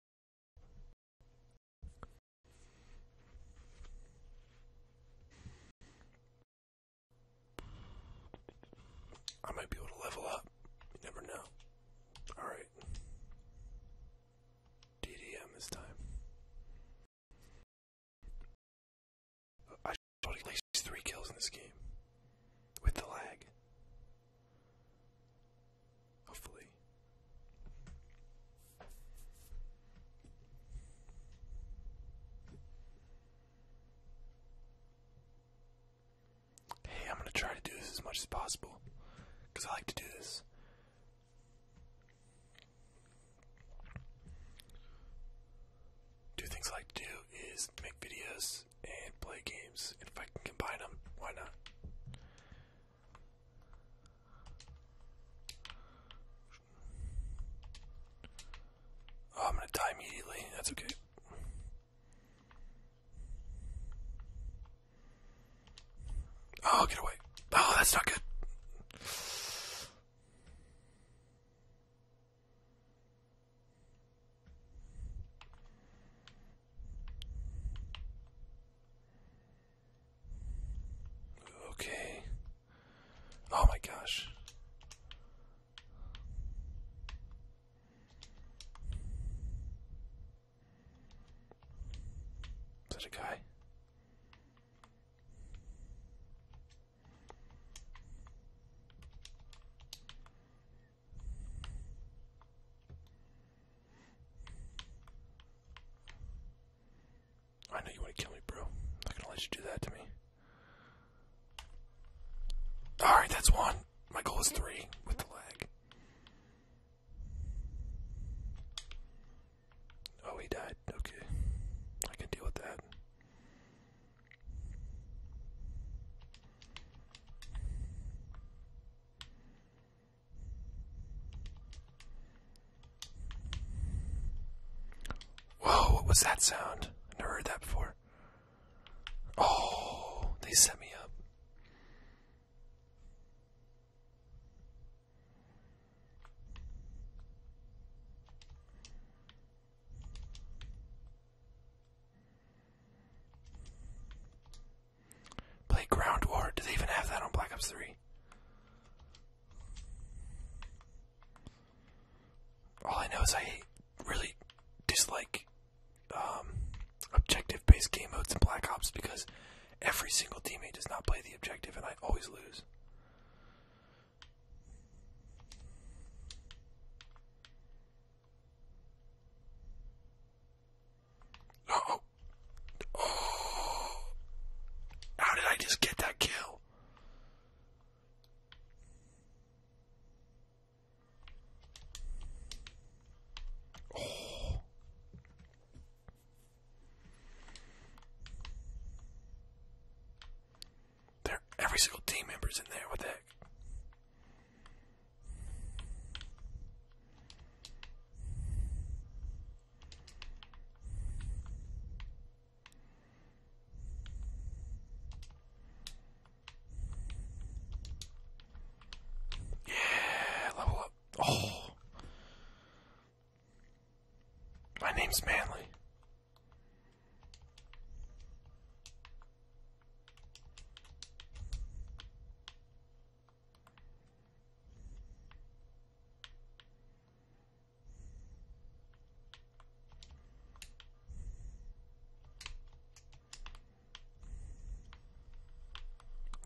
I might be able to level up. You never know. Alright. DDM this time. I shot at least three kills in this game. With the lag. Hopefully. Hey, I'm gonna try to do this as much as possible because I like to do this. Two things I like to do is make videos and play games. And if I can combine them, why not? Oh, I'm gonna die immediately. That's okay. Oh, get away. Oh, that's not good. Okay. Oh my gosh. Is a guy? I know you want to kill me, bro. I'm not gonna let you do that to me. Alright, that's one. My goal is three with the lag. Oh, he died. Okay. I can deal with that. Whoa, what was that sound? I never heard that before. Oh, they set me up. Play War. Do even have that on Black Ops 3? All I know is I really dislike um, objective-based game modes in Black Ops because every single teammate does not play the objective, and I always lose. Oh. How did I just get that kill? Oh. There, every single team member's in there. What the heck? Yeah, level up. Oh. My name's Manly.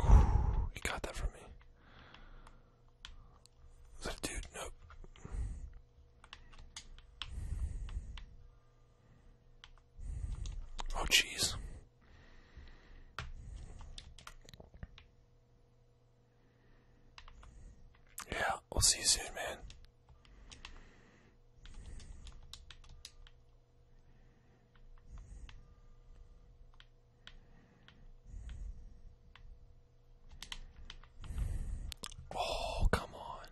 Ooh, he got that from me. that dude? Nope. Oh, jeez. Yeah, we'll see you soon, man. Oh, come on.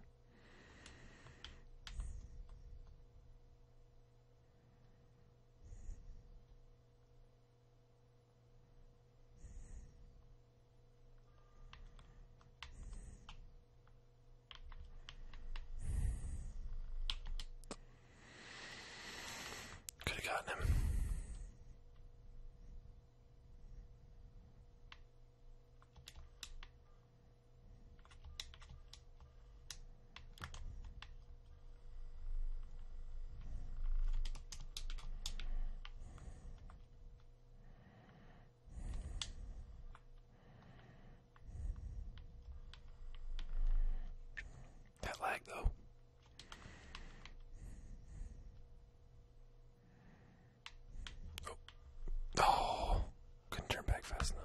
Could have gotten him. That lag though. Oh. oh. couldn't turn back fast enough.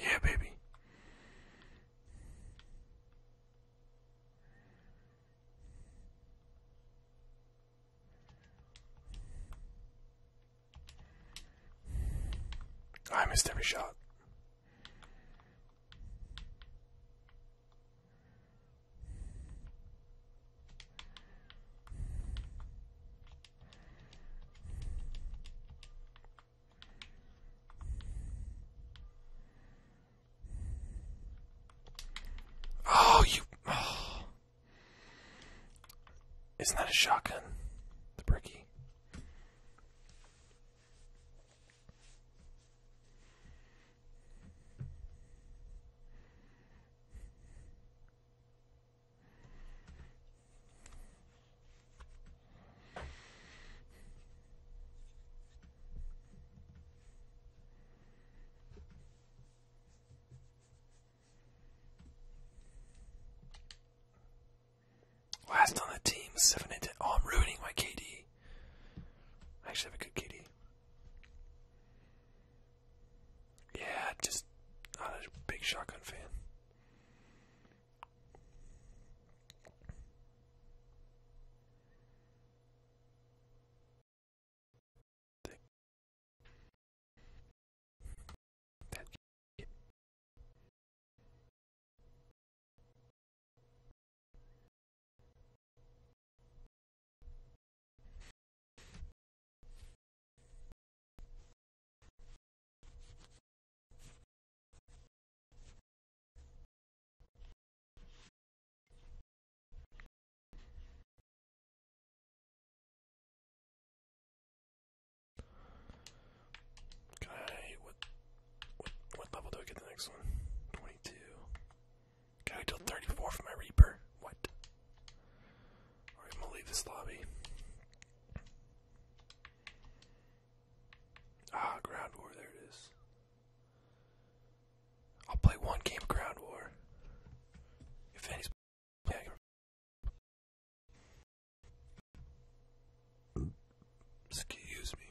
Yeah, baby. I missed every shot. Oh, you. Oh. Isn't that a shotgun? The bricky. Last on the team, seven and ten. Oh, I'm ruining my KD. I actually have a good KD. Yeah, just not a big shotgun fan. Okay, what, what level do I get the next one? 22. Can I wait 34 for my Reaper? What? I'm gonna leave this lobby. Ah, Ground War, there it is. I'll play one game of Ground War. If any's Excuse me.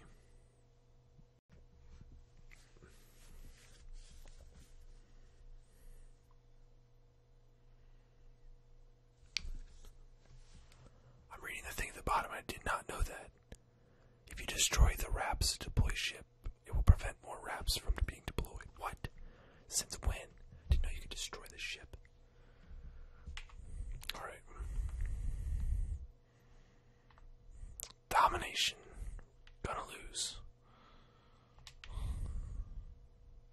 I'm reading the thing at the bottom. I did not know that. If you destroy the Raps to deploy ship, it will prevent more Raps from being deployed. What? Since when? didn't know you could destroy the ship. Alright. Domination. Gonna lose.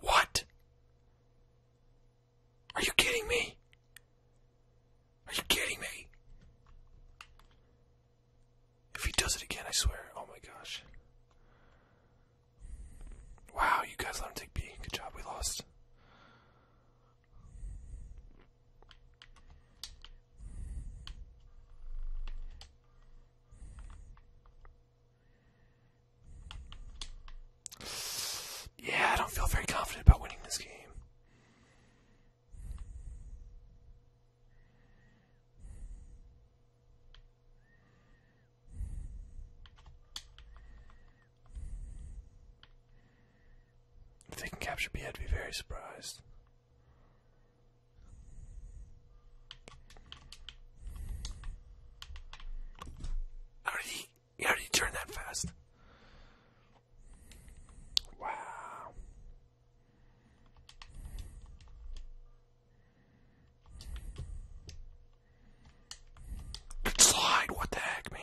What? Are you kidding me? Are you kidding me? If he does it again, I swear. Oh my gosh. Wow, you guys let him take B. Good job, we lost. Yeah, I don't feel very confident about winning this game. If they can capture B, I'd be very surprised. Are they how did you turn that fast? Wow. slide, what the heck, man?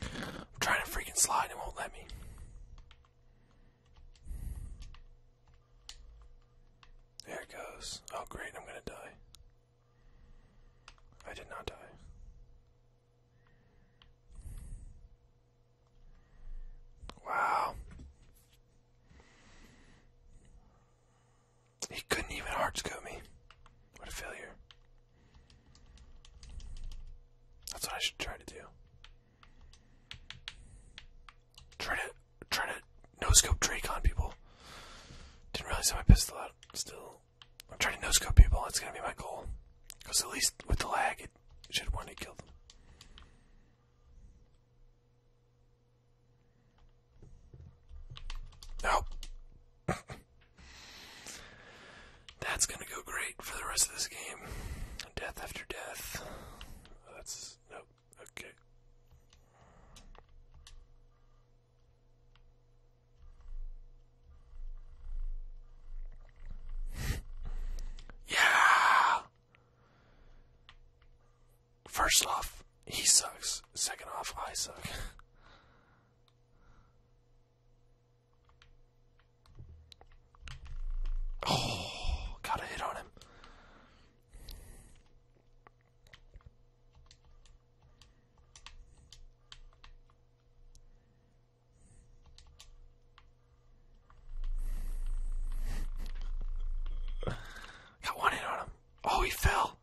I'm trying to freaking slide, it won't let me. There it goes. Oh, great, I'm gonna die. I did not die. Wow. He couldn't even hard scope me. What a failure. That's what I should try to do. Try to try to no scope people. Didn't realize how my pistol out still. I'm trying to no people, that's gonna be my goal. Because at least with the lag it should want to kill them. No. That's gonna go great for the rest of this game. Death after death. Oh, that's nope. Okay. yeah. First off, he sucks. Second off, I suck. Oh, got a hit on him. Got one hit on him. Oh, he fell.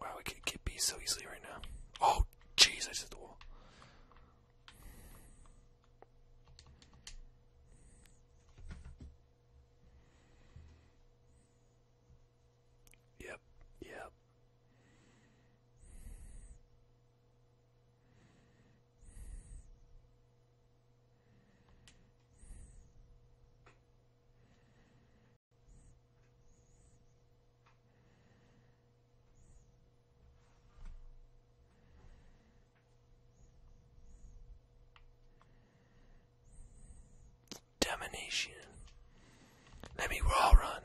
Wow, we could get B so easily right now. Oh, jeez, I just hit the wall. Yep, yep. Domination. Let me raw run.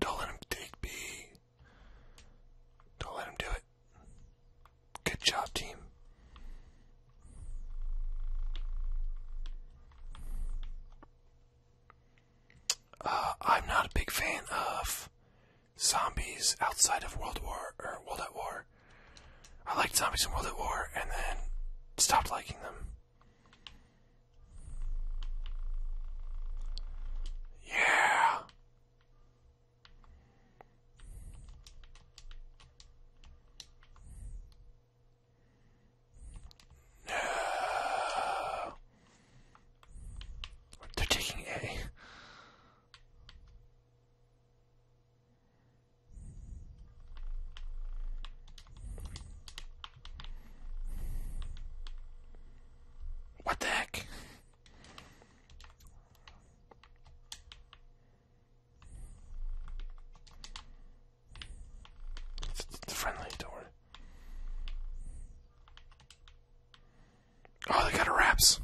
Don't let him take B. Don't let him do it. Good job, team. Uh, I'm not a big fan of zombies outside of World War or World at War. I liked zombies in World at War and then stopped liking them. Yeah. No. They're taking A. What the heck? It's, friendly, don't worry. Oh, they got wraps.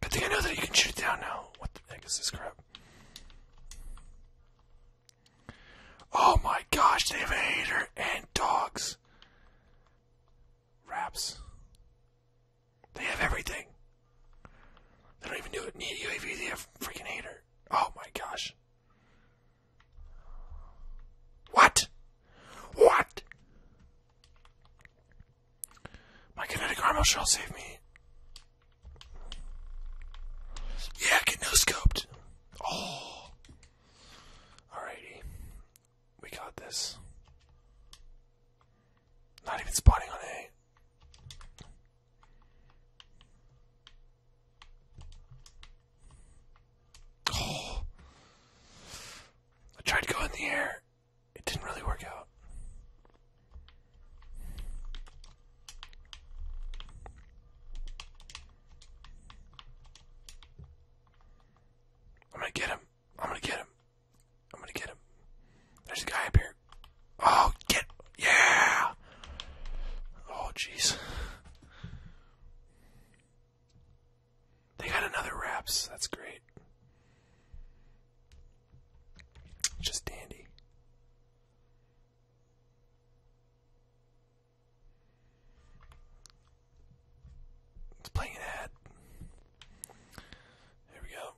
Good thing I know that you can shoot it down now. What the heck is this crap? Oh my gosh, they have a hater and dogs. Wraps. They have everything. They don't even do it. Need UAV. They have freaking hater. Oh my gosh. What? What? My kinetic armor shall save me. Yeah, get no scoped. Oh. Alrighty. We got this. Not even spotting on A. Oh. I tried to go in the air. It didn't really work out. I'm gonna get him. I'm gonna get him. I'm gonna get him. There's a guy up here. Oh, get. Yeah! Oh, jeez. They got another wraps. That's great. Just dandy. It's playing an ad. Here we go.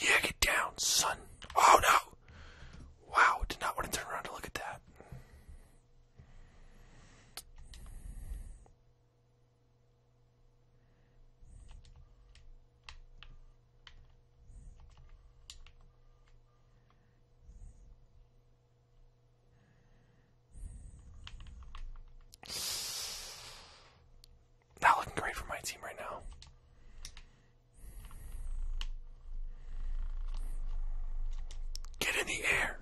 Yeah, get down, son. Oh no! Wow, did not want to turn around to look at that. Not looking great for my team right now. Get in the air.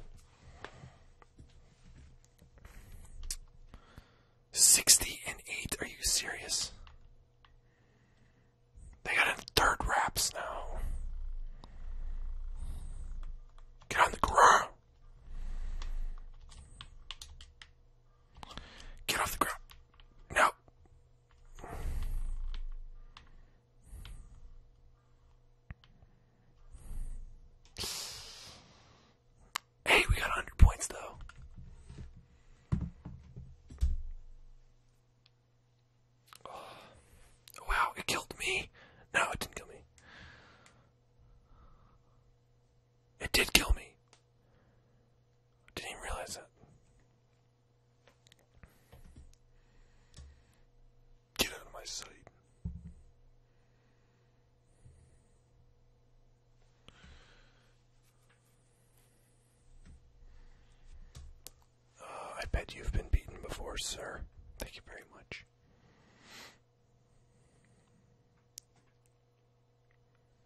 60 and 8, are you serious? They got in third wraps now. Get on the ground. Get off the ground. No. Hey, we got 100 points though. Oh. Wow, it killed me. No, it didn't kill me. It did kill me. Didn't realize that. Get out of my sight. Uh, I bet you've been beaten before, sir. Thank you very much.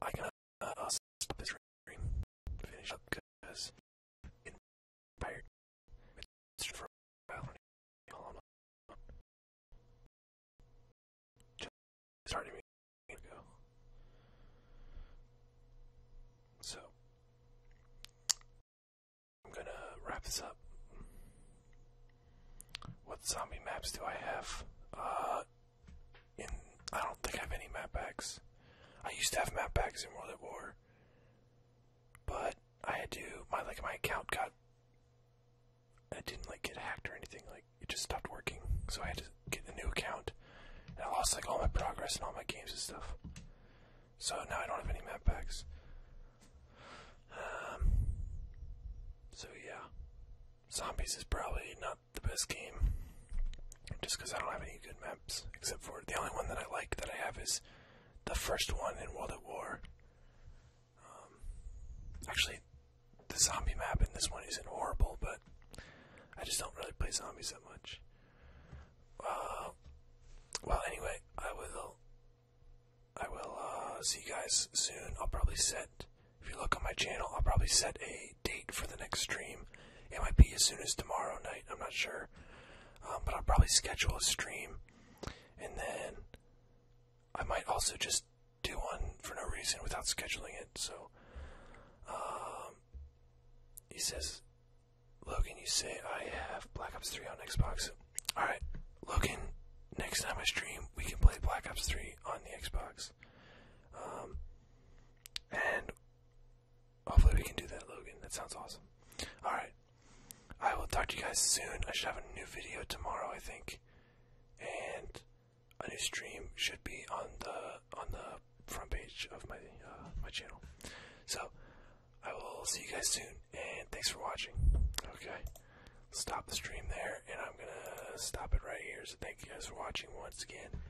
I gotta uh, I'll stop this stream, finish up, because It's for a while, how Just started me ago. So, I'm gonna wrap this up. What zombie maps do I have? Uh, I don't think I have any map packs. I used to have map packs in World at War. But I had to my like my account got I didn't like get hacked or anything, like it just stopped working. So I had to get a new account. And I lost like all my progress and all my games and stuff. So now I don't have any map packs. Um so yeah. Zombies is probably not the best game, just because I don't have any good maps, except for the only one that I like that I have is the first one in World at War. Um, actually, the zombie map in this one isn't horrible, but I just don't really play zombies that much. Uh, well, anyway, I will. I will uh, see you guys soon. I'll probably set. If you look on my channel, I'll probably set a date for the next stream. It might be as soon as tomorrow night, I'm not sure. Um, but I'll probably schedule a stream. And then I might also just do one for no reason without scheduling it. So um, he says, Logan, you say I have Black Ops 3 on Xbox. Alright, Logan, next time I stream, we can play Black Ops 3 on the Xbox. Um, and Hopefully we can do that, Logan. That sounds awesome. Alright. I will talk to you guys soon. I should have a new video tomorrow, I think. And a new stream should be on the on the front page of my uh, my channel. So I will see you guys soon and thanks for watching. Okay. Stop the stream there and I'm gonna stop it right here. So thank you guys for watching once again.